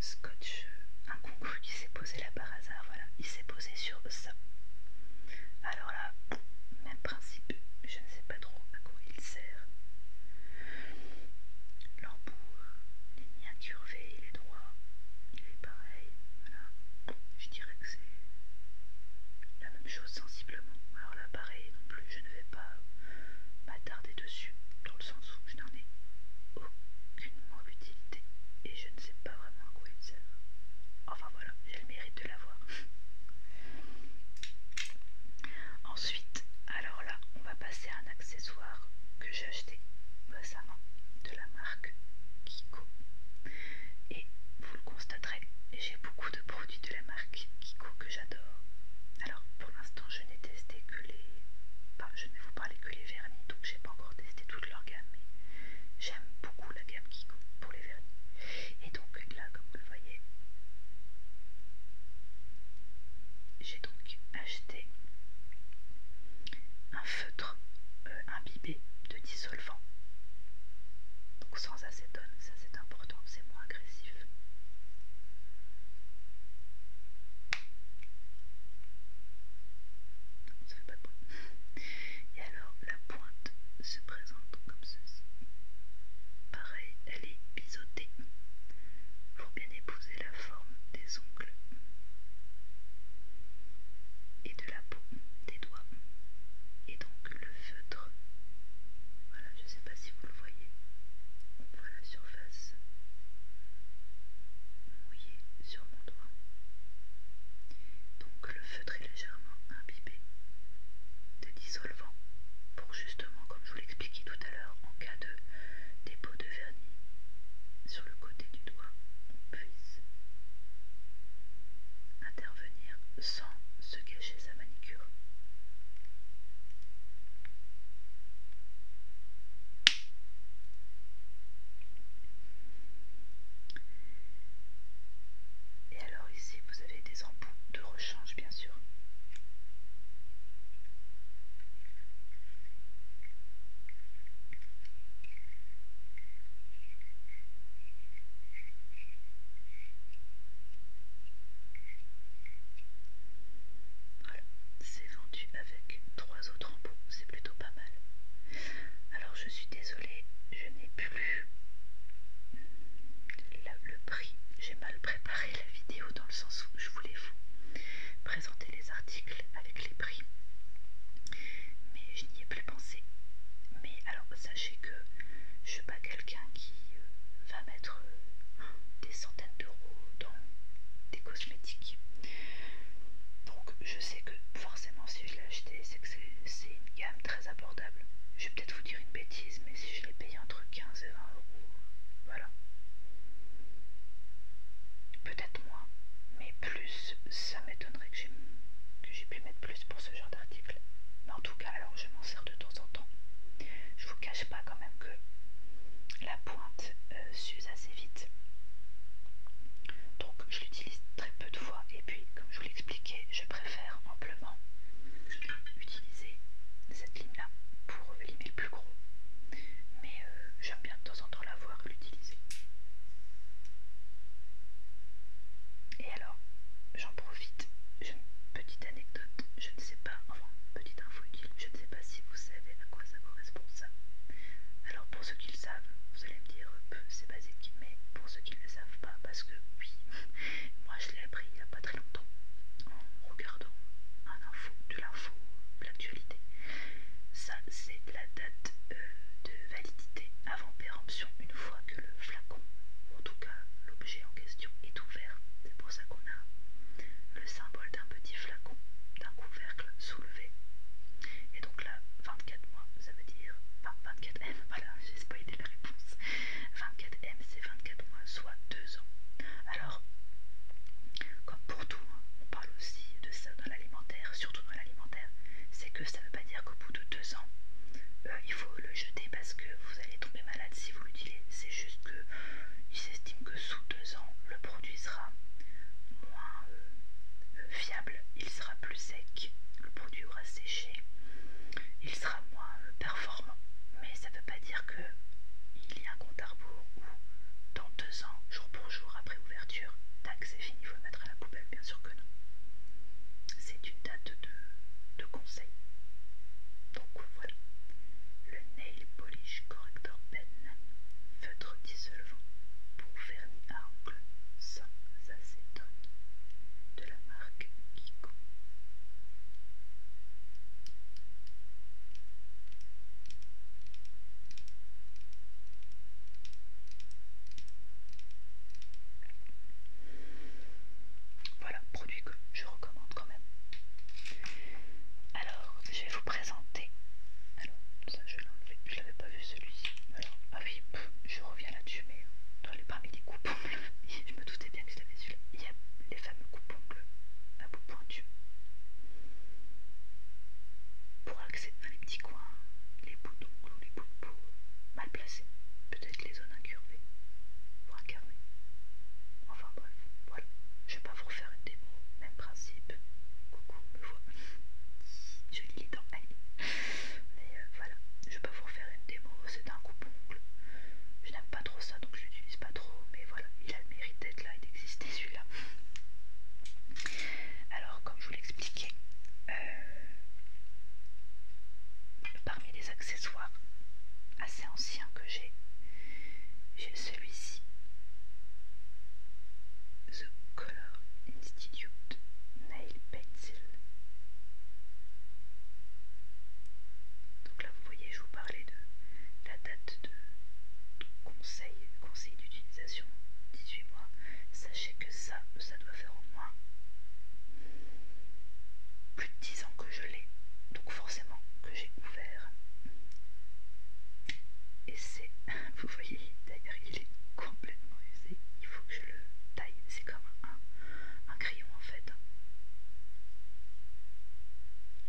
A: scotch incongru il s'est posé là par hasard, voilà, il s'est posé sur ça. Alors là, même principe, je ne sais pas trop à quoi il sert. L'embout, il est ni les il est droit, il est pareil, voilà. Je dirais que c'est la même chose sensiblement. Alors là, pareil non plus, je ne vais pas m'attarder dans le sens où je n'en ai aucune utilité et je ne sais pas vraiment à quoi il sert. Enfin voilà, j'ai le mérite de l'avoir. Ensuite, alors là, on va passer à un accessoire que j'ai acheté récemment de la marque Kiko. Et vous le constaterez, j'ai beaucoup de produits de la marque Kiko que j'adore. Alors pour l'instant, je n'ai testé que les. Enfin, je ne vais vous que les vernis, donc j'ai pas encore testé toute leur gamme, mais j'aime beaucoup la gamme Kiko pour les vernis. Et donc là, comme vous le voyez, j'ai donc acheté un feutre euh, imbibé de dissolvant, donc sans acétone, ça c'est important, c'est moins agressif pas Et alors la pointe se présente comme ceci. Pareil, elle est biseautée pour bien épouser la forme des ongles et de la peau des doigts. Et donc le feutre. Voilà, je ne sais pas si vous le voyez. On voit la surface mouillée sur mon doigt. Donc le feutre est légèrement imbibé de dissolvant pour justement, comme je vous l'expliquais tout à l'heure, en cas de dépôt de vernis sur le côté du doigt, on puisse intervenir sans se cacher sa manicure. Et alors ici vous avez des embouts de rechange bien sûr. Voilà, c'est vendu avec trois autres embouts, c'est plutôt mal. Alors je suis désolée, je n'ai plus le prix. J'ai mal préparé la vidéo dans le sens où je voulais vous présenter les articles avec les prix. Mais je n'y ai plus pensé. Mais alors sachez que je ne suis pas quelqu'un qui euh, va mettre euh, des centaines d'euros dans des donc je sais que forcément si je l'ai acheté, c'est que c'est une gamme très abordable. Je vais peut-être vous dire une bêtise, mais si je l'ai payé entre 15 et 20 euros, voilà. Peut-être moins, mais plus, ça m'étonnerait que j'ai pu mettre plus pour ce genre d'article. Mais en tout cas, alors je m'en sers de temps en temps. Je vous cache pas quand même que la pointe euh, s'use assez vite. Donc je l'utilise très peu de fois et puis comme je vous l'expliquais, je préfère amplement utiliser cette ligne là pour limer le plus gros. Mais euh, j'aime bien de temps en temps la voir et l'utiliser. Et alors, j'en profite, une petite anecdote, je ne sais pas, enfin petite info utile, je ne sais pas si vous savez à quoi ça correspond ça. Alors pour ceux le savent, vous allez me dire euh, c'est basique, mais pour ceux qui ne le savent pas, parce que oui, moi je l'ai appris il n'y a pas très longtemps en regardant un info, de l'info, de l'actualité. Ça, c'est la date euh, de validité avant péremption, une fois que le flacon, ou en tout cas l'objet en question, est ouvert. C'est pour ça qu'on a le symbole d'un petit flacon, d'un couvercle soulevé. Et donc là, 24 mois, ça veut dire. Enfin, 24M, voilà, j'ai spoilé la réponse. 24M, c'est 24 mois, soit 2 ans. Alors, comme pour tout, hein, on parle aussi de ça dans l'alimentaire, surtout dans l'alimentaire, c'est que ça ne veut pas dire qu'au bout de 2 ans, euh, il faut le jeter parce que vous allez tomber malade si vous l'utilisez. C'est juste que il s'estime que sous ans le produit sera moins euh, euh, fiable, il sera plus sec, le produit aura séché, il sera moins euh, performant. Mais ça ne veut pas dire que il y a un compte à rebours où dans deux ans, jour pour jour, après ouverture, tac, c'est fini, il faut le mettre à la poubelle, bien sûr que non. C'est une date de, conseil. Donc voilà, le nail polish correctement. Dr votre ben feutre dissolvant pour vernis à ongles sans acétone de la marque Kiko. Voilà, produit que je recommande quand même. Alors, je vais vous présenté. Alors, ça je l'ai enlevé, je l'avais pas vu celui-ci. Alors, ah oui, je reviens là-dessus, mais dans euh, les parmi les coupons bleus, je me doutais bien que je l'avais vu là Il y a les fameux coupons bleus à bout pointu. Pour accéder dans les petits coins, les bouts d'ongles ou les bouts de peau euh, mal placés, peut-être les zones incurvées, ou incarnées Enfin bref, voilà. Je vais pas vous refaire une démo, même principe. Coucou, me voit. Je lis les dents. Mais euh, voilà, je peux vous refaire une démo. C'est un coupe Je n'aime pas trop ça, donc je l'utilise pas trop. Mais voilà, il a le mérite d'être là et d'exister celui-là. Alors, comme je vous l'expliquais, euh, parmi les accessoires assez anciens que j'ai, j'ai celui-ci. Institute, Nail Pencil. Donc là, vous voyez, je vous parlais de la date de conseil, conseil d'utilisation, 18 mois. Sachez que ça, ça doit faire au moins plus de 10 ans que je l'ai. Donc forcément que j'ai ouvert. Et c'est, vous voyez, d'ailleurs, il est complètement usé, il faut que je le taille, c'est comme un, crayon en fait.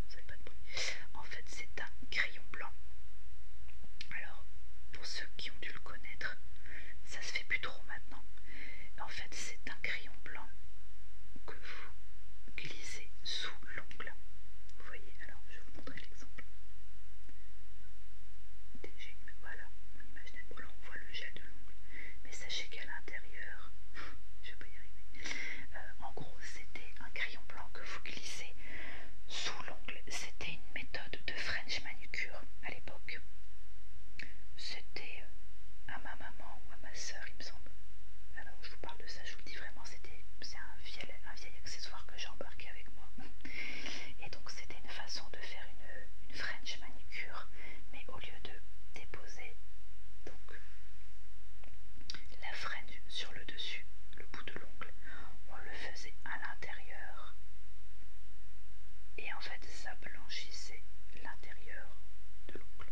A: Vous avez pas de bruit. En fait c'est un crayon blanc. Alors pour ceux qui ont dû le connaître, ça se fait plus trop maintenant. En fait c'est un crayon blanc que vous glissez sous l'onglet vous voyez, alors je vais vous montrer l'exemple. Voilà, on voilà, on voit le jet de l'ongle. Mais sachez qu'à l'intérieur, je vais pas y arriver. Euh, en gros, c'était un crayon blanc que vous glissez sous l'ongle. C'était une méthode de French manucure à l'époque. C'était euh, à ma maman ou à ma soeur, il me semble. Alors, je vous parle de ça, je vous le dis vraiment, c'était un vieil un vieil accessoire que j'ai embarqué avec moi. Et donc c'était une façon de faire une, French manicure, mais au lieu de déposer donc la French sur le dessus, le bout de l'ongle, on le faisait à l'intérieur. Et en fait ça blanchissait l'intérieur de l'ongle.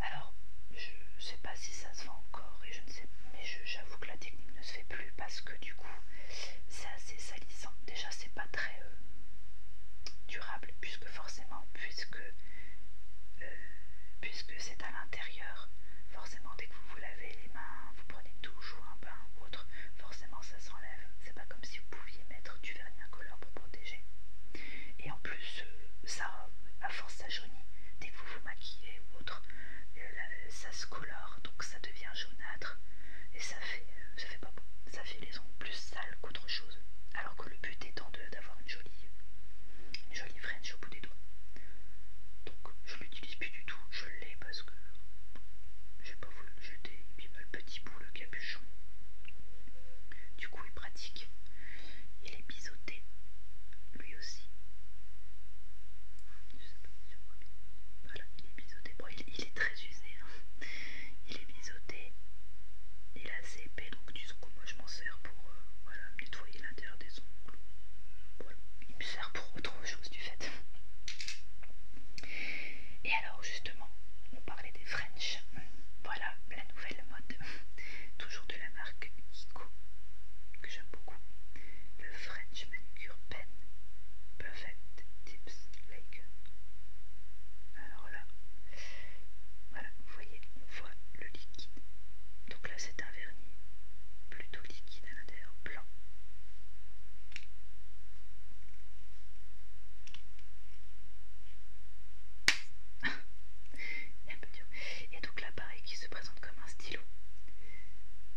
A: Alors je sais pas si ça se vend encore et je ne sais mais je j'avoue que la technique ne se fait plus parce que du coup c'est assez salissant. Déjà c'est pas très euh, durable puisque forcément puisque euh, puisque c'est à l'intérieur, forcément dès que vous vous lavez les mains, vous prenez une douche ou un bain ou autre, forcément ça s'enlève. C'est pas comme si vous pouviez mettre du vernis incolore pour protéger. Et en plus euh, ça, à force ça jaunit. Dès que vous maquillé ou autre, euh, ça se colore, donc ça devient jaunâtre et ça fait, euh, ça fait pas ça fait les ongles plus sales qu'autre chose. Alors que le but étant d'avoir une jolie, jolie French au bout des doigts. Donc je l'utilise plus du tout, je l'ai parce que j'ai pas voulu le jeter. Et puis bah, le petit bout, le capuchon, du coup il pratique. Il est biseauté, lui aussi. Voilà, il est biseauté. Bon, il, est très usé. Hein. Il est biseauté. Il a assez épais, donc disons que moi je m'en sers pour euh, voilà, nettoyer l'intérieur des ongles. Voilà, il me sert pour autre chose du fait. Et alors justement, on parlait des French. Voilà la nouvelle mode. Toujours de la marque Ico, que j'aime beaucoup le French Manicure Pen Perfect Tips Laker. Alors là, voilà, vous voyez, on voit le liquide. Donc là, c'est un vernis plutôt liquide à l'intérieur, blanc. Et donc là, pareil, qui se présente comme un stylo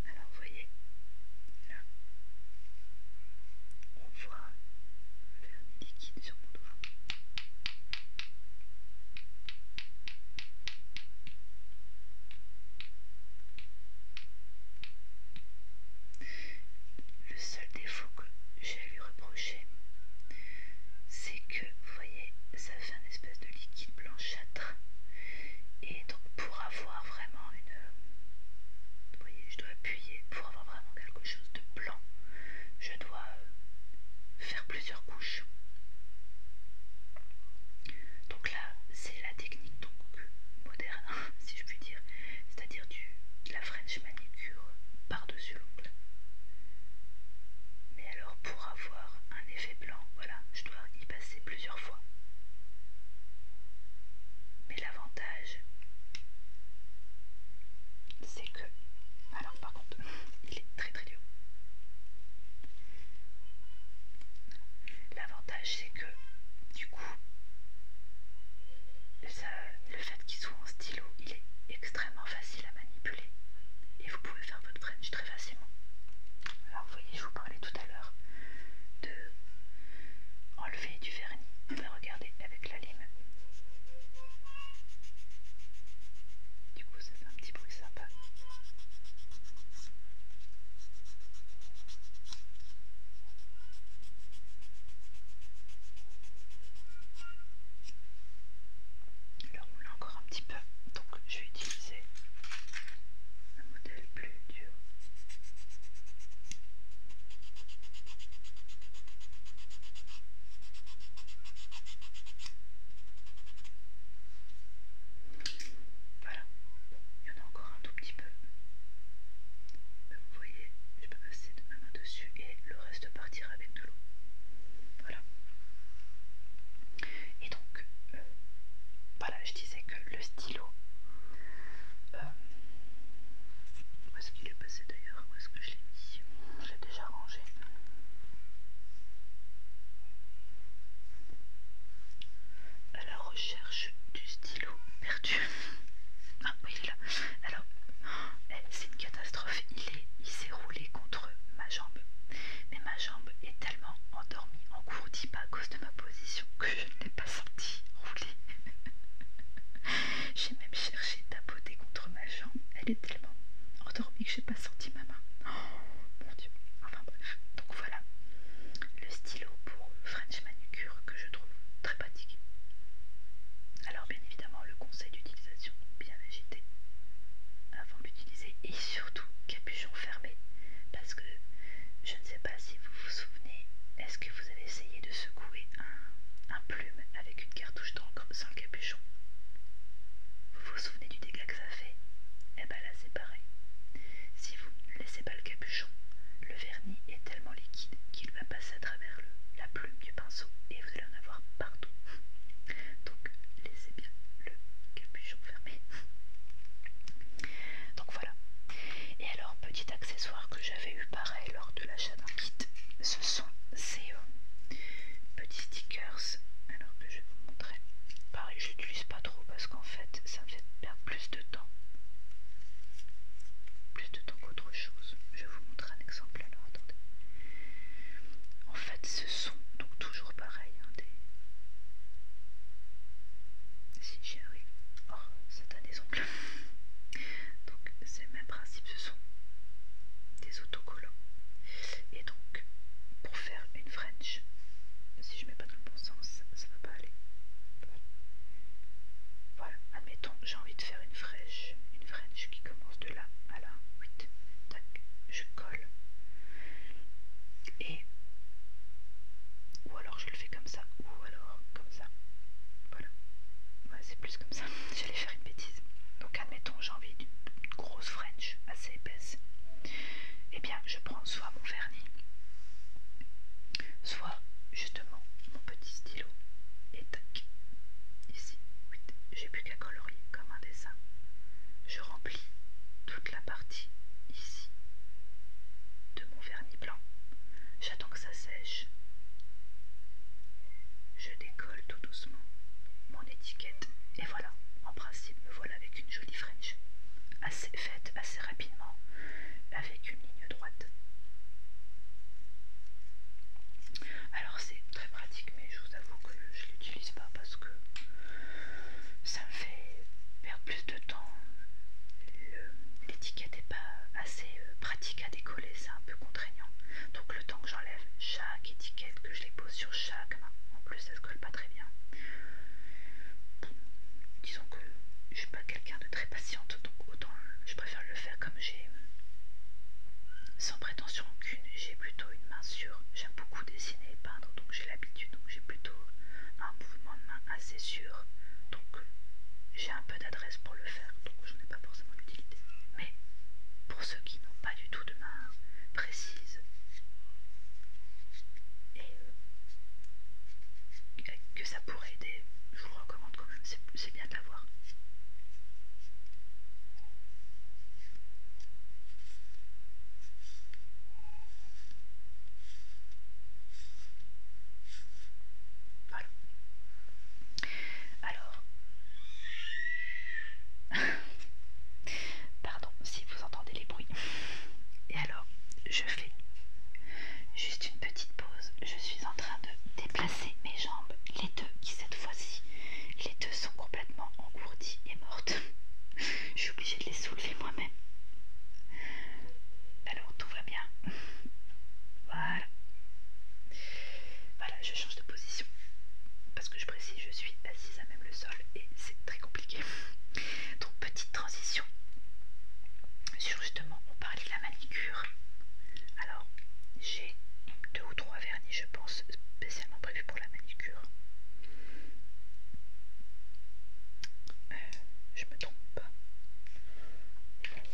A: alors vous voyez, là, on voit le liquide sur mon doigt. Le seul défaut que j'ai à lui reprocher, c'est que, vous voyez, ça fait un espèce de liquide blanchâtre et donc pour avoir vraiment une vous voyez je dois appuyer pour avoir vraiment quelque chose de blanc je dois euh, faire plusieurs couches donc là c'est la technique donc moderne si je puis dire c'est à dire du de la French manicure par dessus l'ongle mais alors pour avoir un effet fait blanc, voilà, je dois y passer plusieurs fois. Mais l'avantage, c'est que... Alors par contre, il est très très dur. L'avantage, c'est que, du coup, le fait qu'il soit en stylo, il est extrêmement facile à manipuler. Et vous pouvez faire votre French très facilement. Alors vous voyez, je vous parlais tout à l'heure de enlever du vernis. on eh ben, regarder avec la lime. Du coup ça fait un petit bruit sympa. Alors on l'a encore un petit peu, donc je vais utiliser c'est un modèle plus dur. Voilà, bon, il y en a encore un tout petit peu. Euh, vous voyez, je peux passer de ma main dessus et le reste partira avec de l'eau. Voilà. Et donc, euh, voilà, je disais que le style euh, où est-ce qu'il est passé d'ailleurs Où est-ce que je l'ai mis Je l'ai déjà rangé. À la recherche du stylo perdu. Ah oui, il est là. Alors, eh, c'est une catastrophe. Il est, il s'est roulé contre ma jambe. Mais ma jambe était tellement endormie, engourdie pas bah, à cause de ma position que je ne l'ai pas senti rouler. j'ai même cherché à tapoter contre ma jambe. Elle est tellement endormie que j'ai pas senti ma main. Oh mon dieu. Enfin bref. Donc voilà. Le stylo pour French Manucure que je trouve très pratique. Alors bien évidemment le conseil d'utilisation bien agité avant d'utiliser et surtout capuchon fermé, parce que je ne sais pas si vous vous souvenez, est-ce que vous avez essayé de secouer un, plume avec une cartouche d'encre sans le capuchon Vous vous souvenez du dégât que ça fait Eh ben là c'est pareil. Si vous ne laissez pas le capuchon, le vernis est tellement liquide qu'il va passer à travers la plume du pinceau et vous allez en avoir partout. Donc laissez bien le capuchon fermé. Donc voilà. Et alors, petit accessoire que j'avais eu pareil lors de l'achat d'un kit, ce sont ces euh, petits stickers. Alors que je vais vous montrer. Pareil, je n'utilise pas trop parce qu'en fait, ça me fait perdre plus de temps. Plus de temps qu'autre chose. Je vais vous montrer un exemple alors, attendez. En fait, ce sont donc toujours pareil, hein, si j'ai arrive. Oh, ça t'a des ongles. donc, c'est le même principe, ce sont des autocollants. Et donc, pour faire une French, si je mets pas dans le bon sens, ça va pas aller. Voilà, admettons, j'ai envie de faire une French, une French qui commence de là à là. 8. je colle ou alors je le fais comme ça ou alors comme ça voilà ouais, c'est plus comme ça j'allais faire une bêtise donc admettons j'ai envie d'une grosse french assez épaisse et eh bien je prends soit mon vernis soit justement mon petit stylo et tac ici j'ai plus qu'à colorier comme un dessin je remplis tout la partie ici de mon vernis blanc. J'attends que ça sèche. Je décolle tout doucement mon étiquette et voilà, en principe me voilà avec une jolie French, assez faite assez rapidement, avec une ligne droite. Alors c'est très pratique mais je vous avoue que je l'utilise pas parce que ça me fait perdre plus de temps. L'étiquette n'est pas assez euh, pratique à décoller, c'est un peu contraignant. Donc le temps que j'enlève chaque étiquette, que je les pose sur chaque main, en plus ça se colle pas très bien. Disons que je suis pas quelqu'un de très patiente, donc autant je préfère le faire comme j'ai, sans prétention aucune. J'ai plutôt une main sûre. J'aime beaucoup dessiner et peindre, j'ai l'habitude, donc j'ai plutôt un mouvement de main assez sûr, donc j'ai un peu d'adresse pour le faire, donc je n'ai pas forcément l'utilité. Mais pour ceux qui n'ont pas du tout de main précise et euh, que ça pourrait aider, je vous le recommande quand même, c'est bien de l'avoir. Voilà. Alors, pardon si vous entendez les bruits. Et alors, je fais juste une petite pause. Je suis en train de déplacer mes jambes, les deux qui cette fois-ci, les deux sont complètement engourdies et mortes je obligée de les soulever moi-même. Alors tout va bien. Voilà. Voilà, je change de position. Parce que je précise, je suis assise à même le sol et c'est très compliqué. Donc petite transition. Sur justement, on parlait de la manicure. Alors, j'ai deux ou trois vernis, je pense, spécialement prévus pour la manicure. Euh, je tombe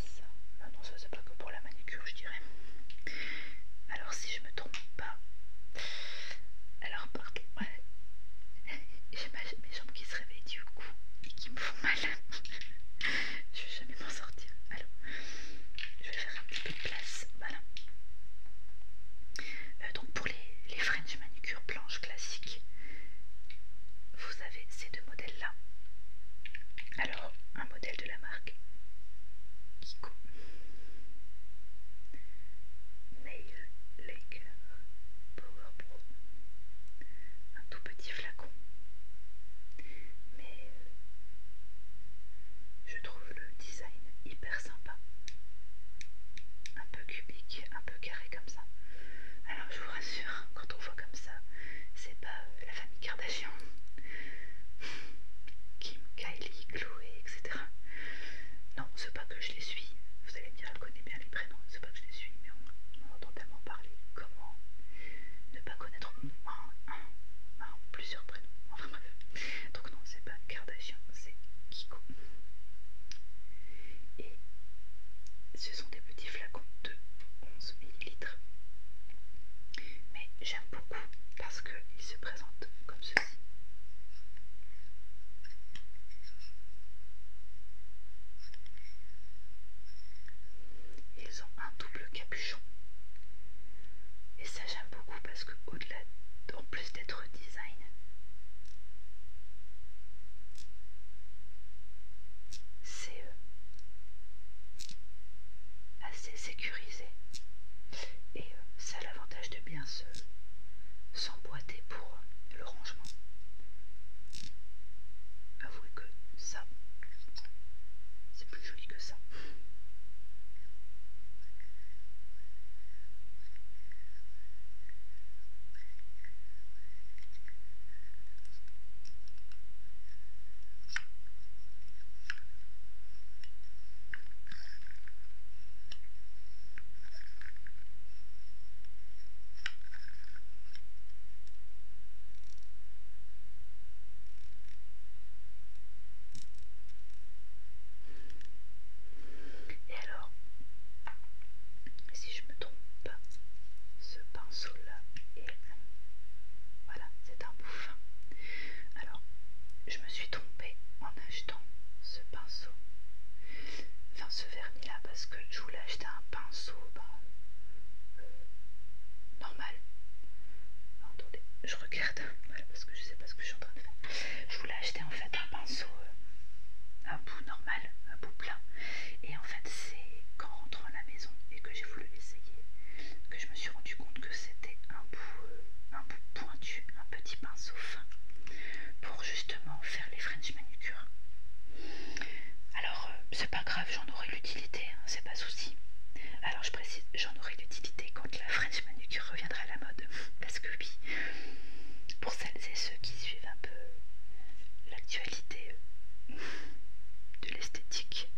A: ça. non, ça c'est pas que pour la manicure, je dirais. Alors, si je me trompe pas. Alors, pardon. J'ai mes jambes qui se réveillent du coup et qui me font mal. je vais jamais m'en sortir. Alors, je vais faire un petit peu de place. Voilà. Euh, donc, pour les, French manucure blanches classiques, vous avez ces deux modèles-là. Alors, un modèle de la marque Kiko Nail Laker Power Pro. Un tout petit flacon. Mais euh, je trouve le design hyper sympa un peu cubique, un peu carré comme ça. Alors je vous rassure, quand on voit comme ça, c'est pas euh, la famille Kardashian, Kim, Kylie, Chloé, etc. Non, c'est pas que je les suis, vous allez me dire, elle connaît bien les prénoms, c'est pas que je les suis, mais on, entend tellement parler. Comment ne pas connaître un, un, ou plusieurs prénoms Enfin bref. Donc non, c'est pas Kardashian, c'est Kiko. Et ce sont des petits flacons de 11 ml. Mais j'aime beaucoup parce qu'ils se présentent comme ceci. Ils ont un double capuchon. Et ça j'aime beaucoup parce que au-delà, en plus d'être design, c'est euh, assez sécurisé et euh, ça a l'avantage de bien se s'emboîter pour euh, le rangement. Avouez que ça, c'est plus joli que ça. Et alors, si je me ce pinceau-là et Voilà, c'est un bouffin. Alors, je me suis trompée en achetant ce pinceau. Enfin, ce vernis-là, parce que je voulais acheter un pinceau bah, euh, normal. attendez, je regarde, parce que je sais pas ce que je suis en train de faire. Je voulais acheter en fait un pinceau euh, un bout normal un bout plein. Et en fait, c'est qu'en rentrant à la maison et que j'ai voulu l'essayer que je me suis rendu compte que c'était un bout, euh, un bout pointu, un petit pinceau fin pour justement faire les French manucure. Alors, euh, c'est pas grave, j'en aurai l'utilité, hein, c'est pas souci. Alors, je précise, j'en aurai l'utilité quand la French manucure reviendra à la mode. Parce que, oui, pour celles et ceux qui suivent un peu l'actualité l'idée euh, de l'esthétique.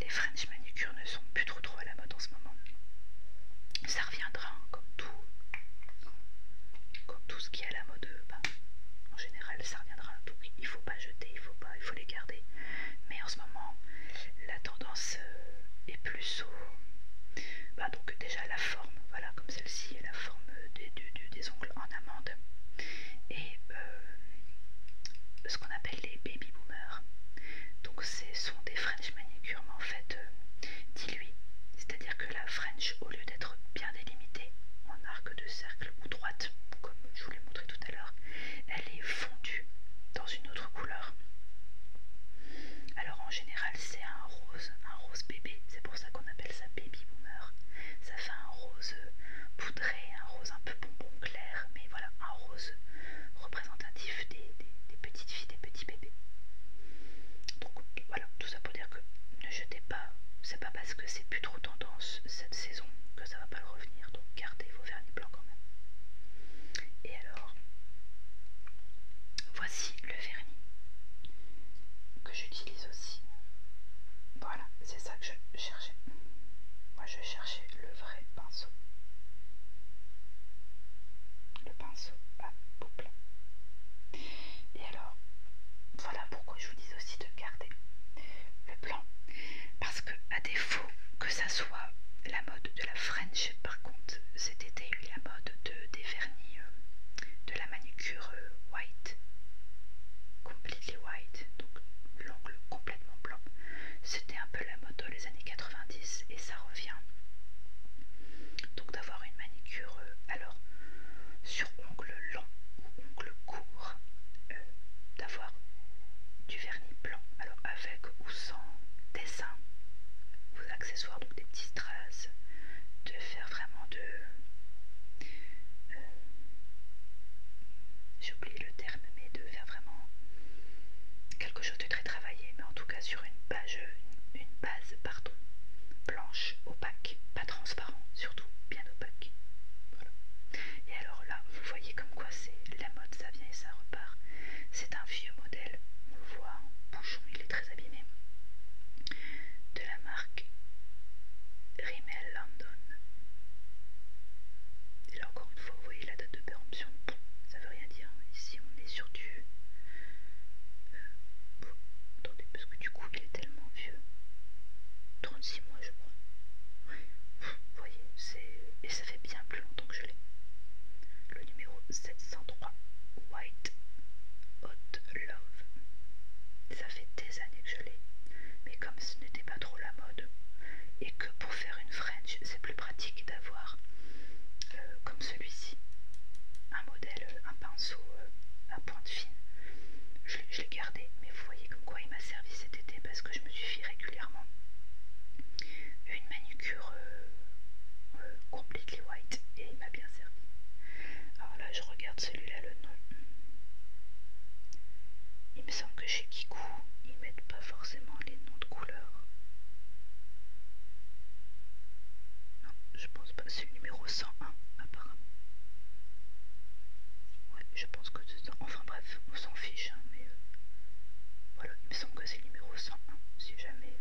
A: Les French manicures ne sont plus trop trop à la mode en ce moment. Ça reviendra hein, comme tout, comme tout ce qui est à la mode. Euh, bah, en général, ça reviendra. Donc, il faut pas jeter, il faut pas, il faut les garder. Mais en ce moment, la tendance euh, est plus au. Bah, donc déjà là, forme, voilà, comme celle-ci, la forme des, ongles en amande. Et euh, ce qu'on appelle les baby boomers. Donc ce sont des French manicure mais en fait euh, diluées. C'est-à-dire que la French, au lieu d'être bien délimitée en arc de cercle ou droite, comme je vous l'ai montré tout à l'heure, elle est fondue dans une autre couleur. Alors en général c'est un rose, un rose bébé, c'est pour ça qu'on appelle ça baby boomer. Ça fait un rose poudré, un rose un peu bonbon clair, mais voilà, un rose représentatif des, des petites filles, des petits bébés. Donc voilà, tout ça pour dire que ne jetez pas, c'est pas parce que c'est plus trop tendance cette saison que ça va pas le revenir, donc gardez vos vernis blancs quand même. Et alors, voici le vernis j'utilise aussi. Voilà, c'est ça que je cherchais. Moi, je cherchais le vrai pinceau. Le pinceau à Et alors, voilà pourquoi je vous dis aussi de garder le blanc. Parce que, à défaut que ça soit la mode de la French, par contre, c'était été, eu la mode des vernis, euh, la manucure euh, white, completely white, donc l'ongle complètement blanc. C'était un peu la moto les années 90 et ça revient. Donc d'avoir une manicure, euh, alors sur ongle long ou ongle court, euh, d'avoir du vernis blanc, alors avec ou sans dessin, ou accessoires, donc des petits traces, de faire vraiment de... Euh, j'ai oublié le terme, mais de faire vraiment quelque chose de très travaillé, mais en tout cas sur une page, une, base, pardon, blanche, opaque, pas transparent, surtout bien opaque. Et alors là, vous voyez comme quoi c'est la mode, ça vient et ça repart. C'est un vieux modèle, on le voit, bouchon, il est très abîmé de la marque Rimmel London. Et là encore une fois, vous voyez la date de péremption, ça veut rien dire. Ici on est sur du... Euh, attendez, parce que du coup il est tellement vieux. 36 mois je crois. Vous voyez, c'est... Et ça fait bien plus longtemps que je l'ai. Le numéro 703 White Hot ça fait des années que je l'ai, mais comme ce n'était pas trop la mode, et que pour faire une French, c'est plus pratique d'avoir euh, comme celui-ci un modèle, euh, un pinceau euh, à pointe fine. Je, l'ai gardé, mais vous voyez comme quoi il m'a servi cet été parce que je me suis fait régulièrement une manucure completely white et il m'a bien servi. Alors là, je regarde celui-là le nom. Il me semble que chez Kikou, ils mettent pas forcément les noms de couleurs. Non, je pense pas. C'est le numéro 101, apparemment. Ouais, je pense que c'est Enfin bref, on s'en fiche, hein, mais... Euh, voilà, il me semble que c'est le numéro 101, si jamais... Euh,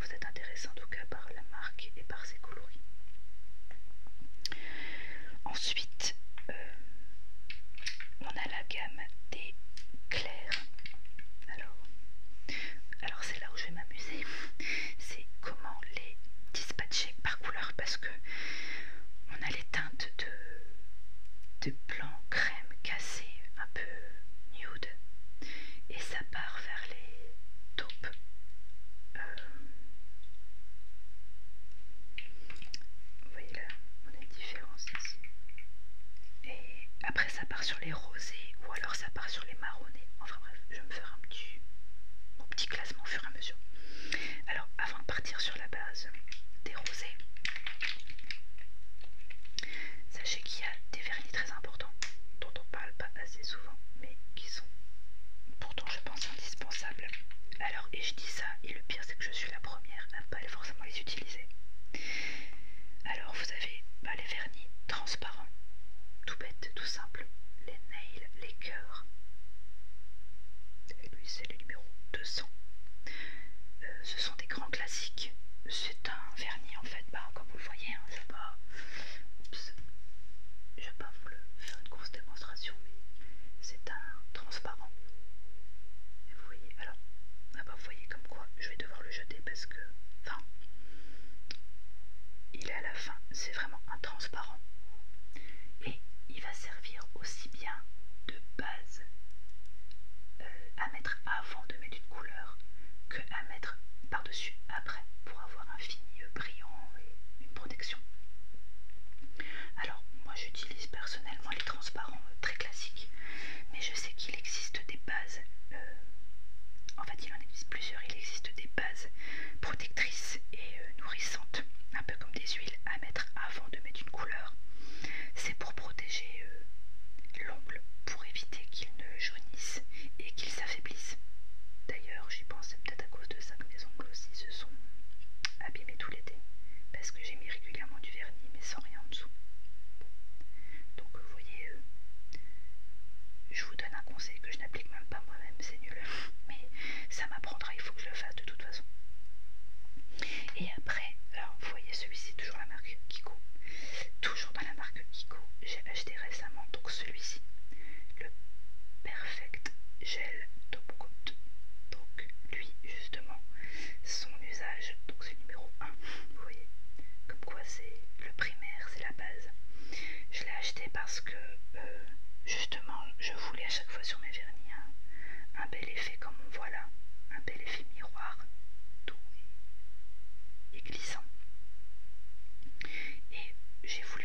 A: vous êtes intéressé en tout cas par la marque et par ses coloris. Ensuite, euh, on a la gamme des clairs. Alors, alors c'est là où je vais m'amuser. C'est comment les dispatcher par couleur parce que on a les teintes de, de blanc crème cassé, un peu nude, et ça part vers les euh, vous voyez là, on a une différence ici. Et après ça part sur les rosés ou alors ça part sur les marronnés. Enfin bref, je vais me faire un petit, petit classement au fur et à mesure. Alors avant de partir sur la base des rosés, sachez qu'il y a des vernis très importants dont on parle pas assez souvent mais qui sont pour je pense indispensable. Alors, et je dis ça, et le pire c'est que je suis la première à ne pas forcément les utiliser. Alors, vous avez bah, les vernis transparents, tout bête, tout simple, les nails, les Coeurs, Et lui, c'est le numéro 200. Euh, ce sont des grands classiques. C'est un vernis en fait, bah, comme vous le voyez, hein, c'est pas. Oups. Vous le faire une grosse démonstration, mais c'est un transparent. vous voyez, alors, ah bah, vous voyez comme quoi je vais devoir le jeter parce que, enfin, il est à la fin, c'est vraiment un transparent. Et il va servir aussi bien de base euh, à mettre avant de mettre une couleur que à mettre par-dessus après pour avoir un fini brillant et une protection. Alors, moi j'utilise personnellement les transparents euh, très classiques, mais je sais qu'il existe des bases, euh, en fait il en existe plusieurs, il existe des bases protectrices et euh, nourrissantes, un peu comme des huiles à mettre avant de mettre une couleur. C'est pour protéger l'ongle, pour éviter qu'il ne jaunisse et qu'il s'affaiblisse. D'ailleurs, j'y pense à cause de ça que mes ongles aussi se sont abîmés tout l'été, parce que j'ai mis régulièrement du vernis mais sans rien en dessous. Donc vous voyez, euh, je vous donne un conseil que je n'applique même pas moi-même, c'est nul, mais ça m'apprendra, il faut que je le fasse de toute façon. Et après, alors vous voyez celui-ci, toujours la marque Kiko, toujours dans la marque Kiko, j'ai acheté récemment donc celui-ci, le Perfect Gel Top Coat. Donc, lui, justement, son usage, donc c'est numéro 1, vous voyez, comme quoi c'est le primaire, c'est la base. Je l'ai acheté parce que, euh, justement, je voulais à chaque fois sur mes vernis un, bel effet comme on voit là, un bel effet miroir doux et, glissant. Et j'ai voulu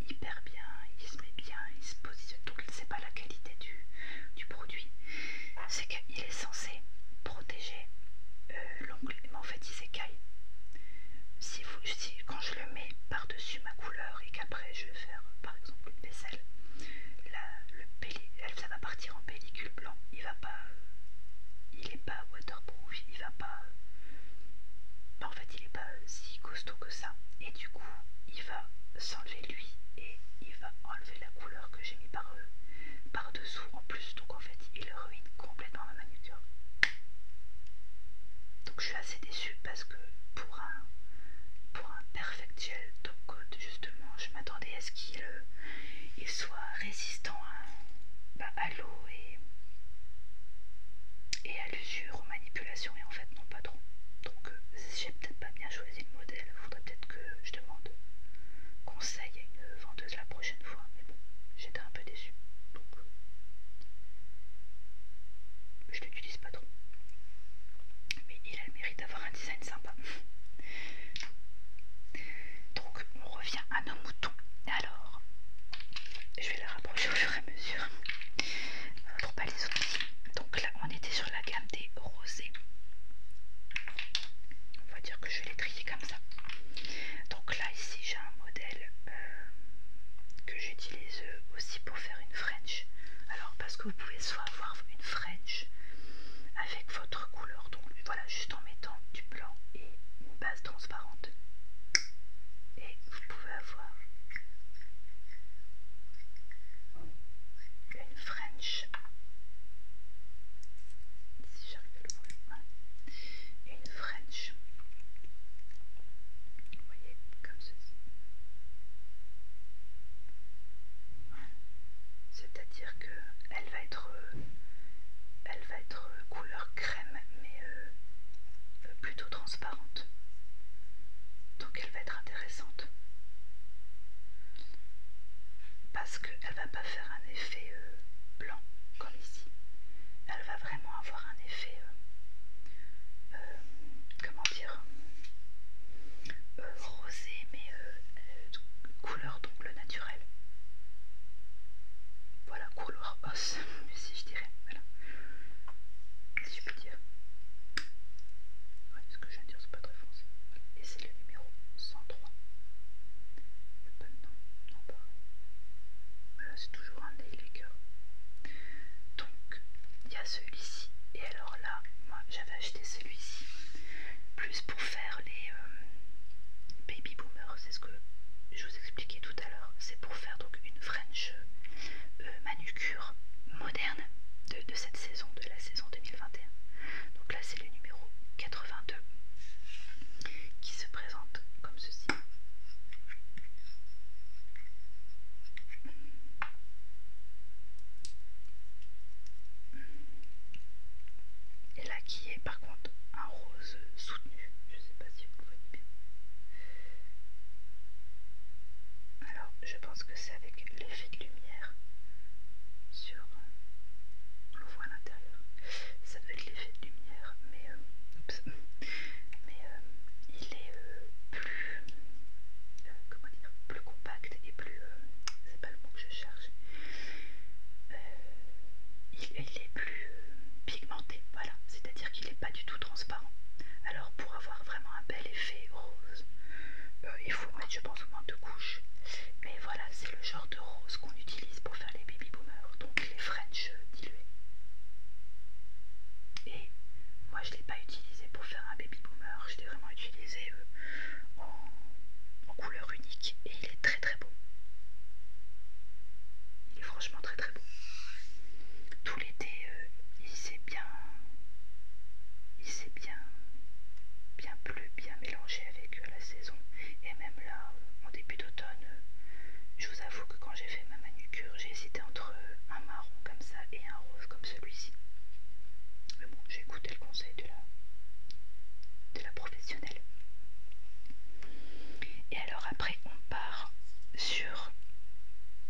A: hyper bien, il se met bien, il se positionne. Donc c'est pas la qualité du, du produit, c'est qu'il est censé protéger euh, l'ongle, mais en fait il s'écaille. Si vous, si, quand je le mets par-dessus ma couleur et qu'après je vais faire par exemple une vaisselle, là le pelli, ça va partir en pellicule blanc, il va pas, euh, il est pas waterproof, il va pas, euh, en fait il n'est pas si costaud que ça. Et du coup, il va s'enlever lui et il va enlever la couleur que j'ai mis par, euh, par dessous en plus. Donc en fait, il ruine complètement ma manucure. Donc je suis assez déçue parce que pour un, pour un perfect gel top coat, justement, je m'attendais à ce qu'il euh, soit résistant à, bah, à l'eau et et à l'usure, aux manipulations, et en fait non pas trop. Donc euh, j'ai peut-être pas bien choisi le modèle, faudrait peut-être que je demande conseil à une vendeuse la prochaine fois, mais bon, j'étais un peu déçue, donc euh, je l'utilise pas trop. Mais il a le mérite d'avoir un design sympa. Donc on revient à nos moutons. Alors, je vais la rapprocher au fur et à mesure pas les Donc là, on était sur la gamme des rosés. On va dire que je l'ai les comme ça. Donc là, ici, j'ai un modèle euh, que j'utilise euh, aussi pour faire une French. Alors, parce que vous pouvez soit avoir une French avec votre couleur, donc voilà, juste en mettant du blanc et une base transparente et vous pouvez avoir une French si j'arrive à une French vous voyez comme ceci c'est à dire que elle va être elle va être couleur crème mais euh, plutôt transparente. Donc elle va être intéressante. Parce qu'elle va pas faire un effet euh, blanc comme ici. Elle va vraiment avoir un effet, euh, comment dire, rosé, mais couleur d'ongle naturel Voilà, couleur os, si je dirais dire. ce que je viens de dire, c'est pas très foncé. Et c'est le numéro 103. Le n'y non, pas. Voilà, c'est toujours un Nailmaker. Donc, il y a celui-ci. Et alors là, moi j'avais acheté celui-ci plus pour faire euh, les baby boomers, c'est ce que je vous expliquais tout à l'heure. C'est pour faire donc une French euh, manucure moderne de, de cette saison, de la saison 2021. Donc là, c'est le numéro 82 qui se présente comme ceci. Et là, qui est par contre un rose soutenu. Je sais pas si vous voyez bien. Alors, je pense que c'est avec l'effet de lumière sur. On le voit à l'intérieur. Ça doit être l'effet de lumière, mais. Euh, mais euh, il est euh, plus. comment dire Plus compact et plus. c'est pas le mot que je cherche. il, est plus pigmenté, voilà, c'est-à-dire qu'il n'est pas du tout transparent. Alors pour avoir vraiment un bel effet rose, euh, il faut mettre je pense au moins deux couches. Mais voilà, c'est le genre de rose qu'on utilise pour faire les baby boomers, donc les French euh, dilués. Et moi je ne l'ai pas utilisé pour faire un baby boomer, je l'ai vraiment utilisé euh, en, couleur unique et il est très très beau. Il est franchement très très beau. Euh, il s'est bien, il bien, bien plu, bien mélangé avec euh, la saison. Et même là, en début d'automne, euh, je vous avoue que quand j'ai fait ma manucure, j'ai hésité entre un marron comme ça et un rose comme celui-ci. Mais bon, j'ai écouté le conseil de la, de la professionnelle. Et alors après, on part sur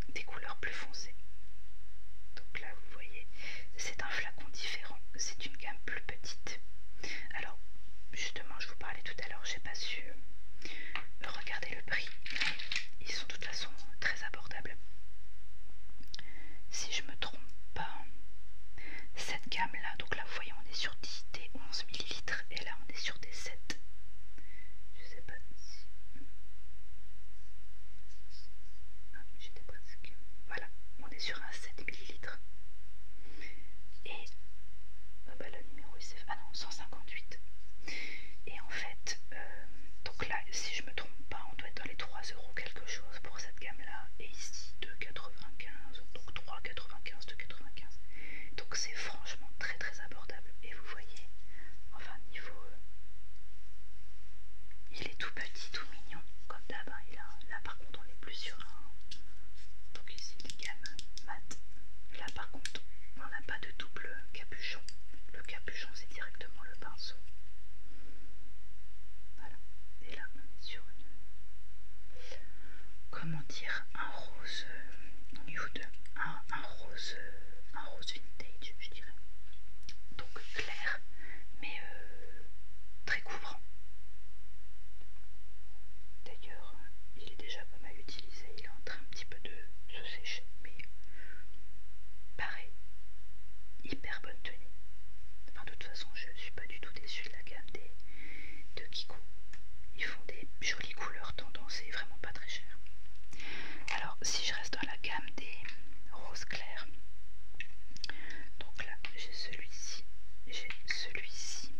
A: des couleurs plus foncées. Donc là, vous voyez, c'est un flacon différent, c'est une gamme plus petite. Alors, justement, je vous parlais tout à l'heure, j'ai pas su euh, regarder le prix, ils sont de toute façon très abordables. Si je me trompe pas, cette gamme là, donc là, vous voyez, on est sur 10 des 11 ml et là, on est sur des 7 je sais pas si. Ah, j'étais presque. Voilà, on est sur un 7 ml. Et. Euh, bah, le numéro il s'est. Ah non, 158. Et en fait, euh, donc là, si je me trompe pas, on doit être dans les 3 euros quelque chose pour cette gamme là. Et ici, 2,95. Donc 3,95, 2,95. Donc c'est franchement très très très abordable. Et vous voyez, enfin niveau... Euh, il est tout petit, tout mignon, comme d'hab. Hein. là, là par contre on est plus sur un... Donc ici mat. Là par contre on n'a pas de double capuchon. Le capuchon c'est directement le pinceau. Voilà. Et là on est sur une... Comment dire Un rose euh, nude un, rose vintage je dirais donc clair mais euh, très couvrant d'ailleurs il est déjà pas mal utilisé il est en train un petit peu de se sécher mais pareil hyper bonne tenue enfin de toute façon je suis pas du tout déçue de la gamme des de Kiko ils font des jolies couleurs tendance et vraiment pas très cher alors, si je reste dans la gamme des roses claires, donc là j'ai celui-ci, j'ai celui-ci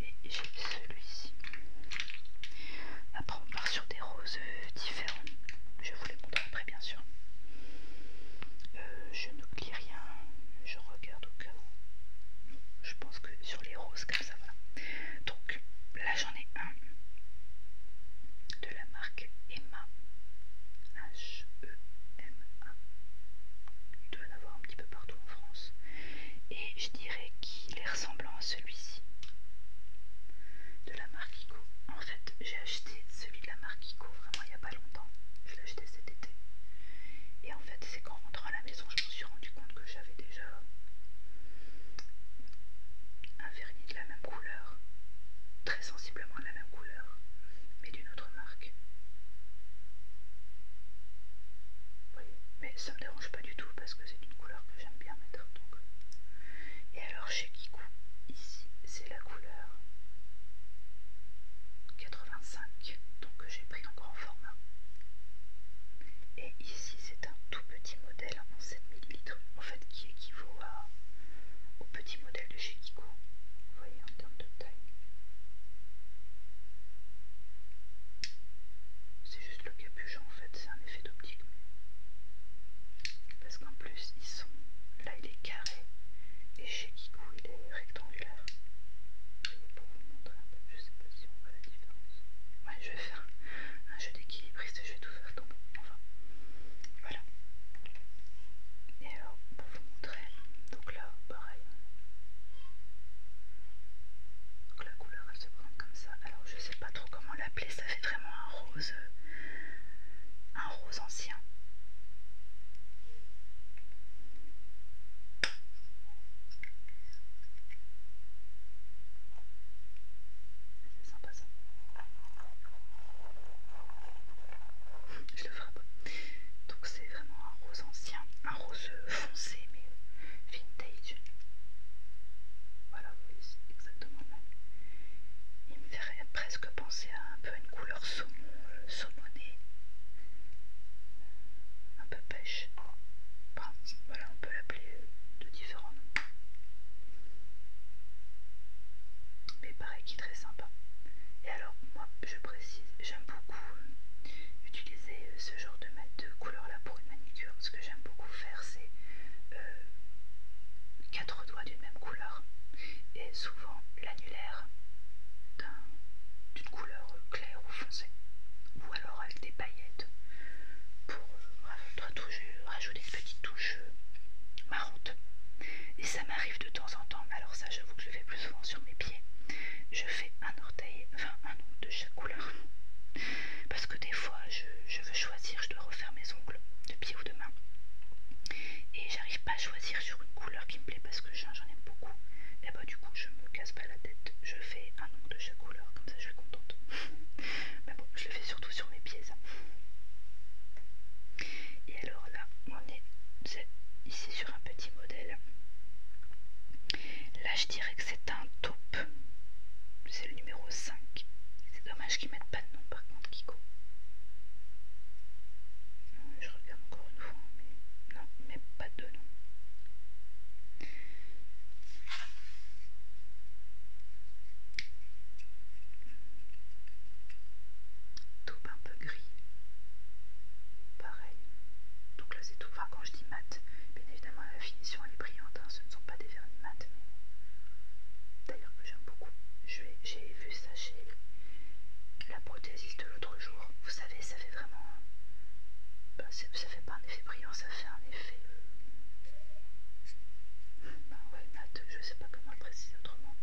A: et j'ai celui-ci. Après, on part sur des roses euh, différentes. Je vous les montre après, bien sûr. Euh, je je n'oublie rien, je regarde au cas où. Je pense que sur les roses, claires, donc là j'en ai un de la marque Emma. h e Il doit en avoir un petit peu partout en France. Et je dirais qu'il est ressemblant à celui-ci de la marque Ico. En fait, j'ai acheté celui de la marque Ico vraiment il n'y a pas longtemps. Je l'ai acheté cet été. Et en fait, c'est qu'en rentrant à la maison, je je me suis rendu compte que j'avais déjà un vernis de la même couleur, très sensiblement de la même couleur, mais d'une autre marque. voyez mais ça me dérange pas du tout parce que c'est une couleur que j'aime bien mettre. Et alors chez Kiku, ici c'est la couleur 85, donc que j'ai pris encore en format. Et ici c'est un tout petit modèle 7 ml, en fait qui équivaut au petit modèle de chez Kiko, vous voyez en termes de taille. C'est juste le capuchon en fait, c'est un effet d'optique. Parce qu'en plus ils sont. Là il est carré et chez Kikou il est rectangulaire. pour vous montrer un peu, je sais pas si on voit la différence. Ouais, je vais faire un jeu je vais tout faire tomber. Enfin, voilà. Et alors, pour vous montrer, donc là, pareil. Donc la couleur, elle se présente comme ça. Alors, je sais pas trop comment l'appeler, ça fait vraiment un rose, un rose ancien. C'est sympa ça. Je le pas Donc c'est vraiment un rose ancien, un rose foncé mais vintage. Voilà, vous c'est exactement le même. Il me ferait presque penser à un peu une couleur saumon, euh, un peu pêche. voilà, on peut l'appeler de différents noms. Mais pareil qui est très sympa. Et alors moi je précise, j'aime beaucoup euh, utiliser euh, ce genre de, de couleur là pour une manicure. Ce que j'aime beaucoup faire c'est euh, quatre doigts d'une même couleur et souvent l'annulaire d'une couleur claire ou foncée avec des paillettes pour euh, rajouter une petite touche euh, marrante. Et ça m'arrive de temps en temps, alors ça j'avoue que je le fais plus souvent sur mes pieds. Je fais un orteil, enfin un ongle de chaque couleur. Parce que des fois je, je veux choisir, je dois refaire mes ongles de pied ou de main. Et j'arrive pas à choisir sur une couleur qui me plaît parce que j'en aime beaucoup. Et eh bah ben, du coup je me casse pas la tête, je fais un ongle de chaque couleur, comme ça je suis contente. Mais bon, je le fais surtout sur mes pièces. Et alors là, on est, ici sur un petit modèle. Là, je dirais que c'est un taupe. C'est le numéro 5. C'est dommage qu'ils mettent pas de nom par contre, Kiko. Euh, je regarde encore une fois, non, mais pas de nom. Taupe un peu gris. Pareil. Donc là c'est tout. Enfin quand je dis mat, bien évidemment la finition elle est brillante. Hein. Ce ne sont pas des vernis mat, mais d'ailleurs que j'aime beaucoup. J'ai vu ça chez la prothésiste l'autre jour. Vous savez, ça fait vraiment... Ben, ça fait pas un effet brillant ça fait un effet. ouais, mat, bah je sais pas comment le préciser autrement.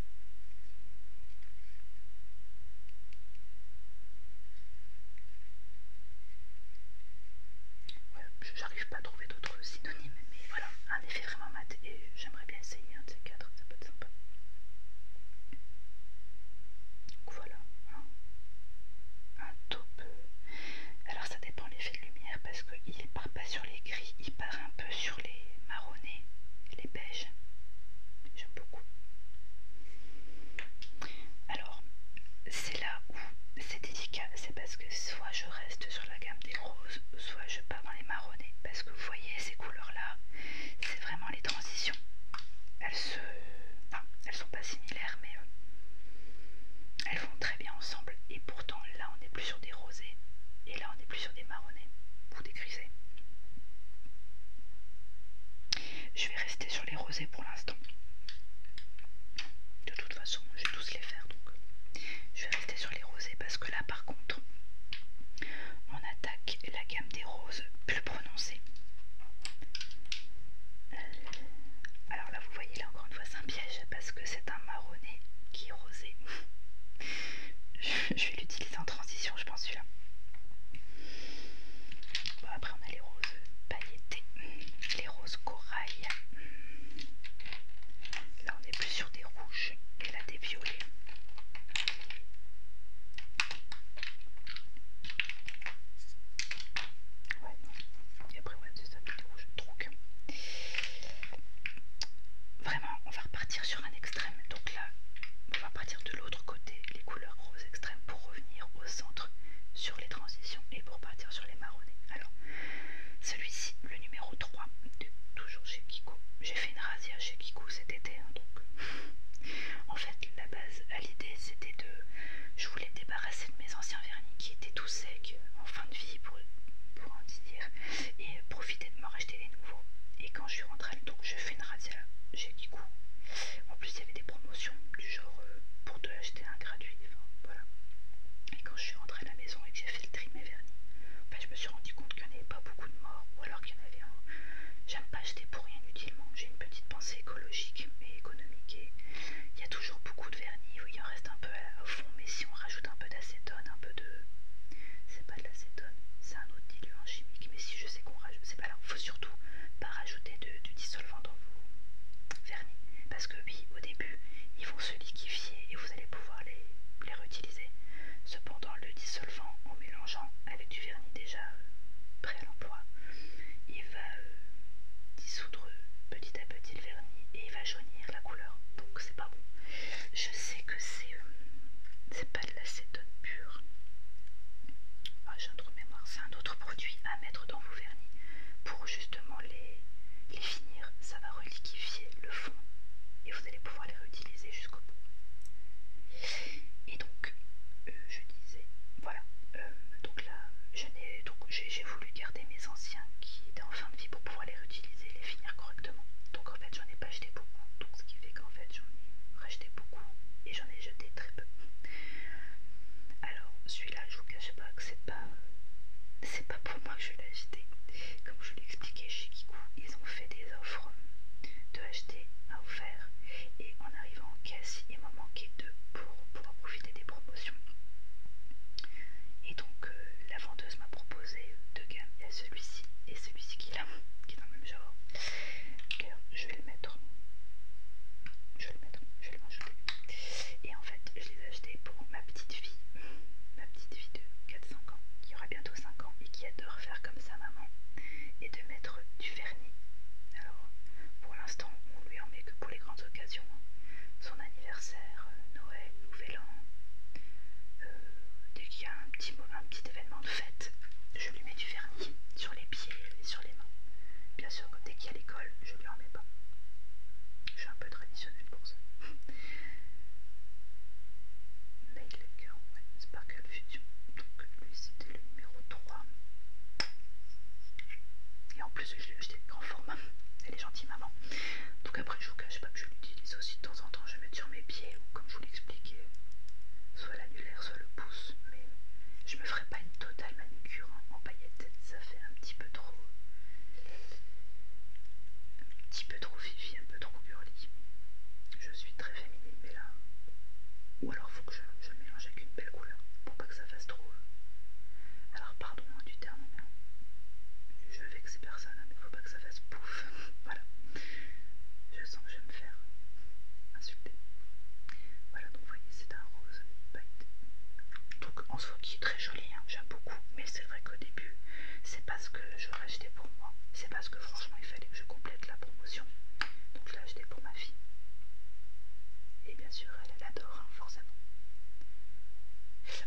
A: Ouais, j'arrive pas à trouver d'autres synonymes, mais voilà, un effet vraiment mat et j'aimerais bien essayer un de ces quatre, ça peut être sympa. Donc voilà, hein. Alors ça dépend l'effet de lumière parce qu'il part pas sur les gris, il part un peu sur les marronnés, les beiges. J'aime beaucoup. Alors, c'est là où c'est délicat, c'est parce que soit je reste sur la gamme des roses, soit je pars dans les marronnés. Parce que vous voyez ces couleurs-là, c'est vraiment les transitions. Elles se. non, elles sont pas similaires, mais euh, elles vont très bien ensemble et pourtant là on n'est plus sur des rosés et là on est plus sur des marronnets ou des grisés. Je vais rester sur les rosés pour l'instant. De toute façon, je vais tous les faire donc. Je vais rester sur les rosés parce que là par contre, on attaque la gamme des roses plus prononcée. Euh, alors là vous voyez là encore une fois c'est parce que c'est un marronné qui est rosé. je, vais l'utiliser en transition, je pense celui-là. Bon, après on a les roses pailletées, les roses corail. Là on est plus sur des rouges et là des violets. Ouais, non. Et après, ouais, c'est ça, des rouges, truc. Vraiment, on va repartir sur un extrême. Donc là, on va partir de l'autre côté, les couleurs roses extrêmes, pour revenir au centre sur les transitions et pour partir sur les marronnés. Alors, celui-ci, le numéro 3, toujours chez Kiko. J'ai fait une razzia chez Kiko cet été, hein, en fait, la base à l'idée, c'était de. Je voulais débarrasser de mes anciens vernis qui étaient tout sec euh, en fin de vie pour, en dire et euh, profiter de m'en racheter des nouveaux. Et quand je suis rentrée, donc je fais une razzia, j'ai dit coup. En plus, il y avait des promotions du genre euh, pour te acheter un gratuit. voilà. Et quand je suis rentrée à la maison et que j'ai fait le tri mes vernis, je me suis rendu compte qu'il n'y en avait pas beaucoup de morts ou alors qu'il y en avait un. J'aime pas acheter pour rien inutilement. J'ai une petite pensée écologique et économique et il y a toujours beaucoup de vernis, oui, il en reste un peu au fond, mais si on rajoute un peu d'acétone, un peu de. C'est pas de l'acétone, c'est un autre diluant chimique, mais si je sais qu'on rajoute. C'est pas là, faut surtout pas rajouter du dissolvant dans vos vernis, parce que oui, au début, ils vont se liquéfier et vous allez pouvoir les, réutiliser. Cependant, le dissolvant, en mélangeant avec du vernis déjà euh, prêt à l'emploi, il va euh, dissoudre petit à petit le vernis et il va jaunir la couleur, donc c'est pas bon. Je sais que c'est euh, c'est pas de l'acétone pure. Ah, J'ai un autre de mémoire, c'est un autre produit à mettre dans vos vernis pour justement les, finir. Ça va reliquifier le fond et vous allez pouvoir les réutiliser jusqu'au bout. Et donc, euh, je disais, voilà, euh, donc là, je n'ai j'ai voulu garder mes anciens qui étaient en fin de vie pour pouvoir les réutiliser et les finir correctement. Donc en fait j'en ai pas acheté beaucoup, donc ce qui fait qu'en fait j'en ai racheté beaucoup et j'en ai jeté très peu. Alors celui-là je vous cache pas que c'est pas c'est pas pour moi que je l'ai acheté. Comme je vous l'expliquais chez Kikou, ils ont fait des offres de acheter à offert et en arrivant en caisse il m'en manqué deux pour pouvoir profiter des promotions donc euh, la vendeuse m'a proposé deux gammes. Il y a celui-ci et celui-ci qui est là, qui est dans le même genre. Euh, je vais le mettre. Je vais le mettre, je vais le rajouter. Et en fait, je les ai achetés pour ma petite fille. Ma petite fille de 4-5 ans, qui aura bientôt 5 ans et qui adore faire comme sa maman. Et de mettre du vernis. Alors, pour l'instant, on ne lui en met que pour les grandes occasions. Hein. Son anniversaire, euh, Noël, Nouvelle euh, dès qu'il y a un petit, événement de fête, je lui mets du vernis sur les pieds et sur les mains. Bien sûr, que dès qu'il y a l'école, je lui en mets pas. Je suis un peu traditionnelle pour ça. Nail le cœur, ouais, Sparkle Fusion. Donc lui c'était le numéro 3. Et en plus je l'ai acheté de grand format. Elle est gentille maman. Donc après je vous cache pas que je l'utilise aussi de temps en temps, je mets sur mes pieds ou comme je vous l'expliquais, soit l'annulaire, soit le pouce, mais je me ferai pas une totale manucure en paillettes, ça fait un petit peu trop un petit peu trop fifi, un peu trop burly. Je suis très féminine mais là. Ou alors faut que je, je le mélange avec une belle couleur pour pas que ça fasse trop. Euh, alors par du terme, je vais que ces personnes, mais faut pas que ça fasse pouf. voilà, je sens que je vais me faire insulter. Voilà, donc vous voyez, c'est un rose Donc en soi, qui est très joli, hein. j'aime beaucoup, mais c'est vrai qu'au début, c'est parce que j'aurais acheté pour moi, c'est parce que franchement, il fallait que je complète la promotion. Donc je l'ai acheté pour ma fille. Et bien sûr, elle, adore, hein, forcément.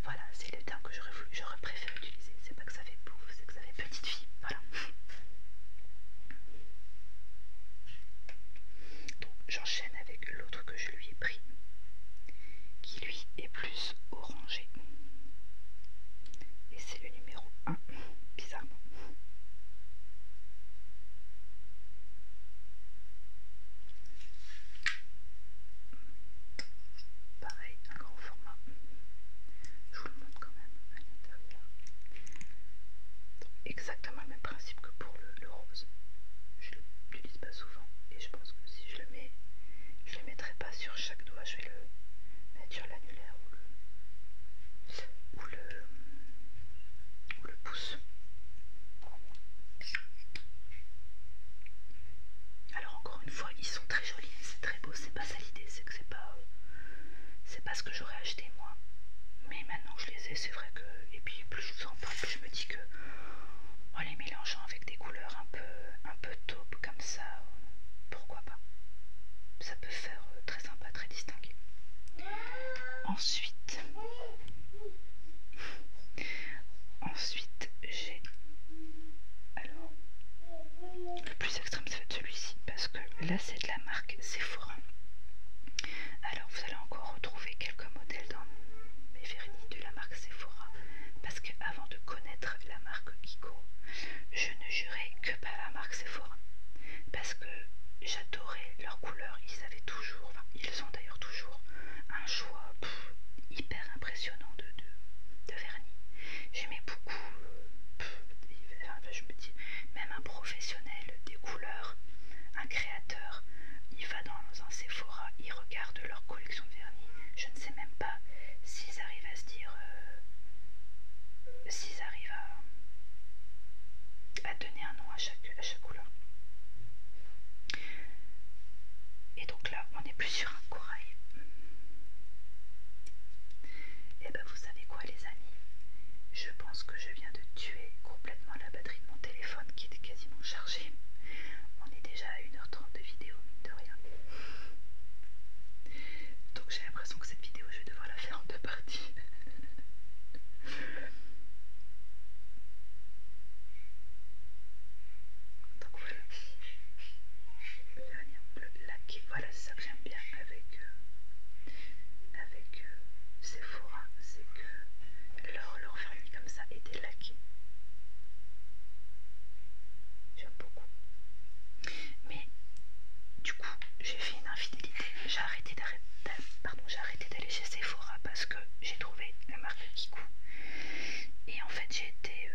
A: Voilà, c'est le terme que j'aurais préféré utiliser. C'est pas que ça fait bouffe, c'est que ça fait petite fille. Voilà. Donc j'enchaîne avec l'autre que je lui ai pris, qui lui est plus orangé. Et c'est le numéro 1, bizarrement. Pareil, un grand format. Je vous le montre quand même à l'intérieur. Exactement le même principe que pour le, rose. Je ne l'utilise pas souvent et je pense que si je le mets, je ne le mettrai pas sur chaque doigt. Je vais le mettre sur l'annulaire ou le, ou le, ou le pouce. Alors encore une fois, ils sont très jolis, c'est très beau, c'est pas ça l'idée, c'est que c'est pas, euh, c'est ce que j'aurais acheté moi. Mais maintenant que je les ai, c'est vrai que, et puis plus je vous en parle, plus je me dis que, en oh, les mélangeant avec des couleurs un peu, un peu taupe comme ça, pourquoi pas Ça peut faire euh, très sympa, très distingué. Ensuite. Ensuite, j'ai. Alors, le plus extrême, ça celui-ci, parce que là, c'est de la marque Sephora. Alors, vous allez encore retrouver quelques modèles dans mes vernis de la marque Sephora, parce qu'avant de connaître la marque Kiko, je ne jurais que par la marque Sephora, parce que j'adorais leurs couleurs. Ils avaient toujours, ils ont d'ailleurs toujours un hyper impressionnant de, vernis. J'aimais beaucoup, je me dis, même un professionnel des couleurs, un créateur, il va dans un Sephora, il regarde leur collection de vernis. Je ne sais même pas s'ils arrivent à se dire, euh, s'ils arrivent à, à donner un nom à chaque, à chaque couleur. Et donc là, on n'est plus sur un corail. Et eh ben vous savez quoi les amis Je pense que je viens de tuer complètement la batterie de mon téléphone qui était quasiment chargée. On est déjà à 1h30 de vidéo, mine de rien. Donc j'ai l'impression que cette vidéo, je vais devoir la faire en deux parties. Donc voilà. Le laqué. Voilà, c'est ça que j'aime bien avec, euh, avec euh, Sephora. C'est que leur, leur vernis comme ça était laqué. J'aime beaucoup. Mais du coup, j'ai fait une infidélité. J'ai arrêté d'aller chez Sephora parce que j'ai trouvé la marque Kikou. Et en fait, j'ai euh,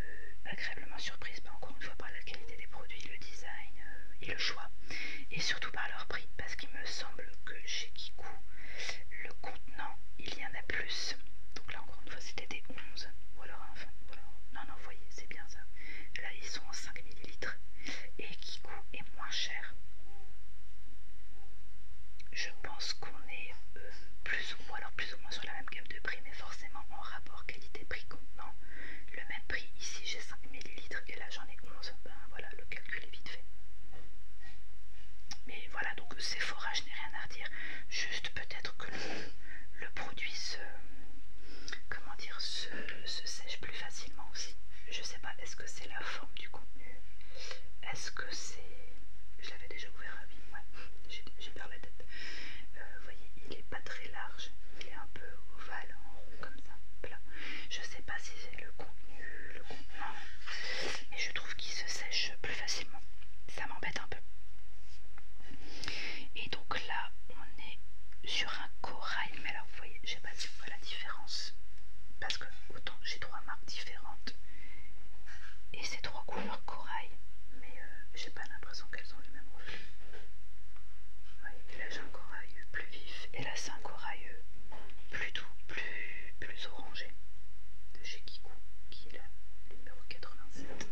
A: agréablement surprise, mais encore une fois, par la qualité des produits, le design euh, et le choix, et surtout par leur prix, parce qu'il me semble que chez Kiku le contenant, il y en a plus. Donc là, encore une fois, c'était des 11, ou alors, enfin, voilà non, non, vous voyez, c'est bien ça. Là, ils sont en 5 ml, et kiku est moins cher. Je pense qu'on est plus... Euh, plus ou moins, alors plus ou moins sur la même gamme de prix, mais forcément en rapport qualité-prix contenant. Le même prix ici, j'ai 5 ml et là j'en ai 11. Ben voilà, le calcul est vite fait. Mais voilà, donc c'est forage, je n'ai rien à redire. Juste peut-être que le, produit se. Comment dire se sèche plus facilement aussi. Je sais pas, est-ce que c'est la forme du contenu Est-ce que c'est. Je l'avais déjà ouvert, oui, ouais, j'ai perdu la tête. Euh, vous voyez, il est pas très large, il est un peu ovale, en rond comme ça, plat. Je sais pas si c'est le contenu, le contenant, mais je trouve qu'il se sèche plus facilement. Ça m'embête un peu. Et donc là, on est sur un corail, mais alors vous voyez, je sais pas si vous voyez la différence. Parce que autant j'ai trois marques différentes et ces trois couleurs corail, mais euh, j'ai pas l'impression qu'elles ont le même reflet. là j'ai un corail plus vif et là c'est un corail euh, plus doux, plus, orangé de chez Kiku qui est là, numéro 87.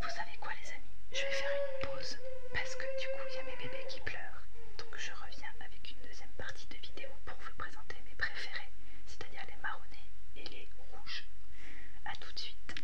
A: Vous savez quoi les amis Je vais faire une pause parce que du coup il y a mes bébés qui pleurent. Donc je reviens avec une deuxième partie de vidéo pour vous présenter mes préférés, c'est-à-dire les marronnés et les rouges. A tout de suite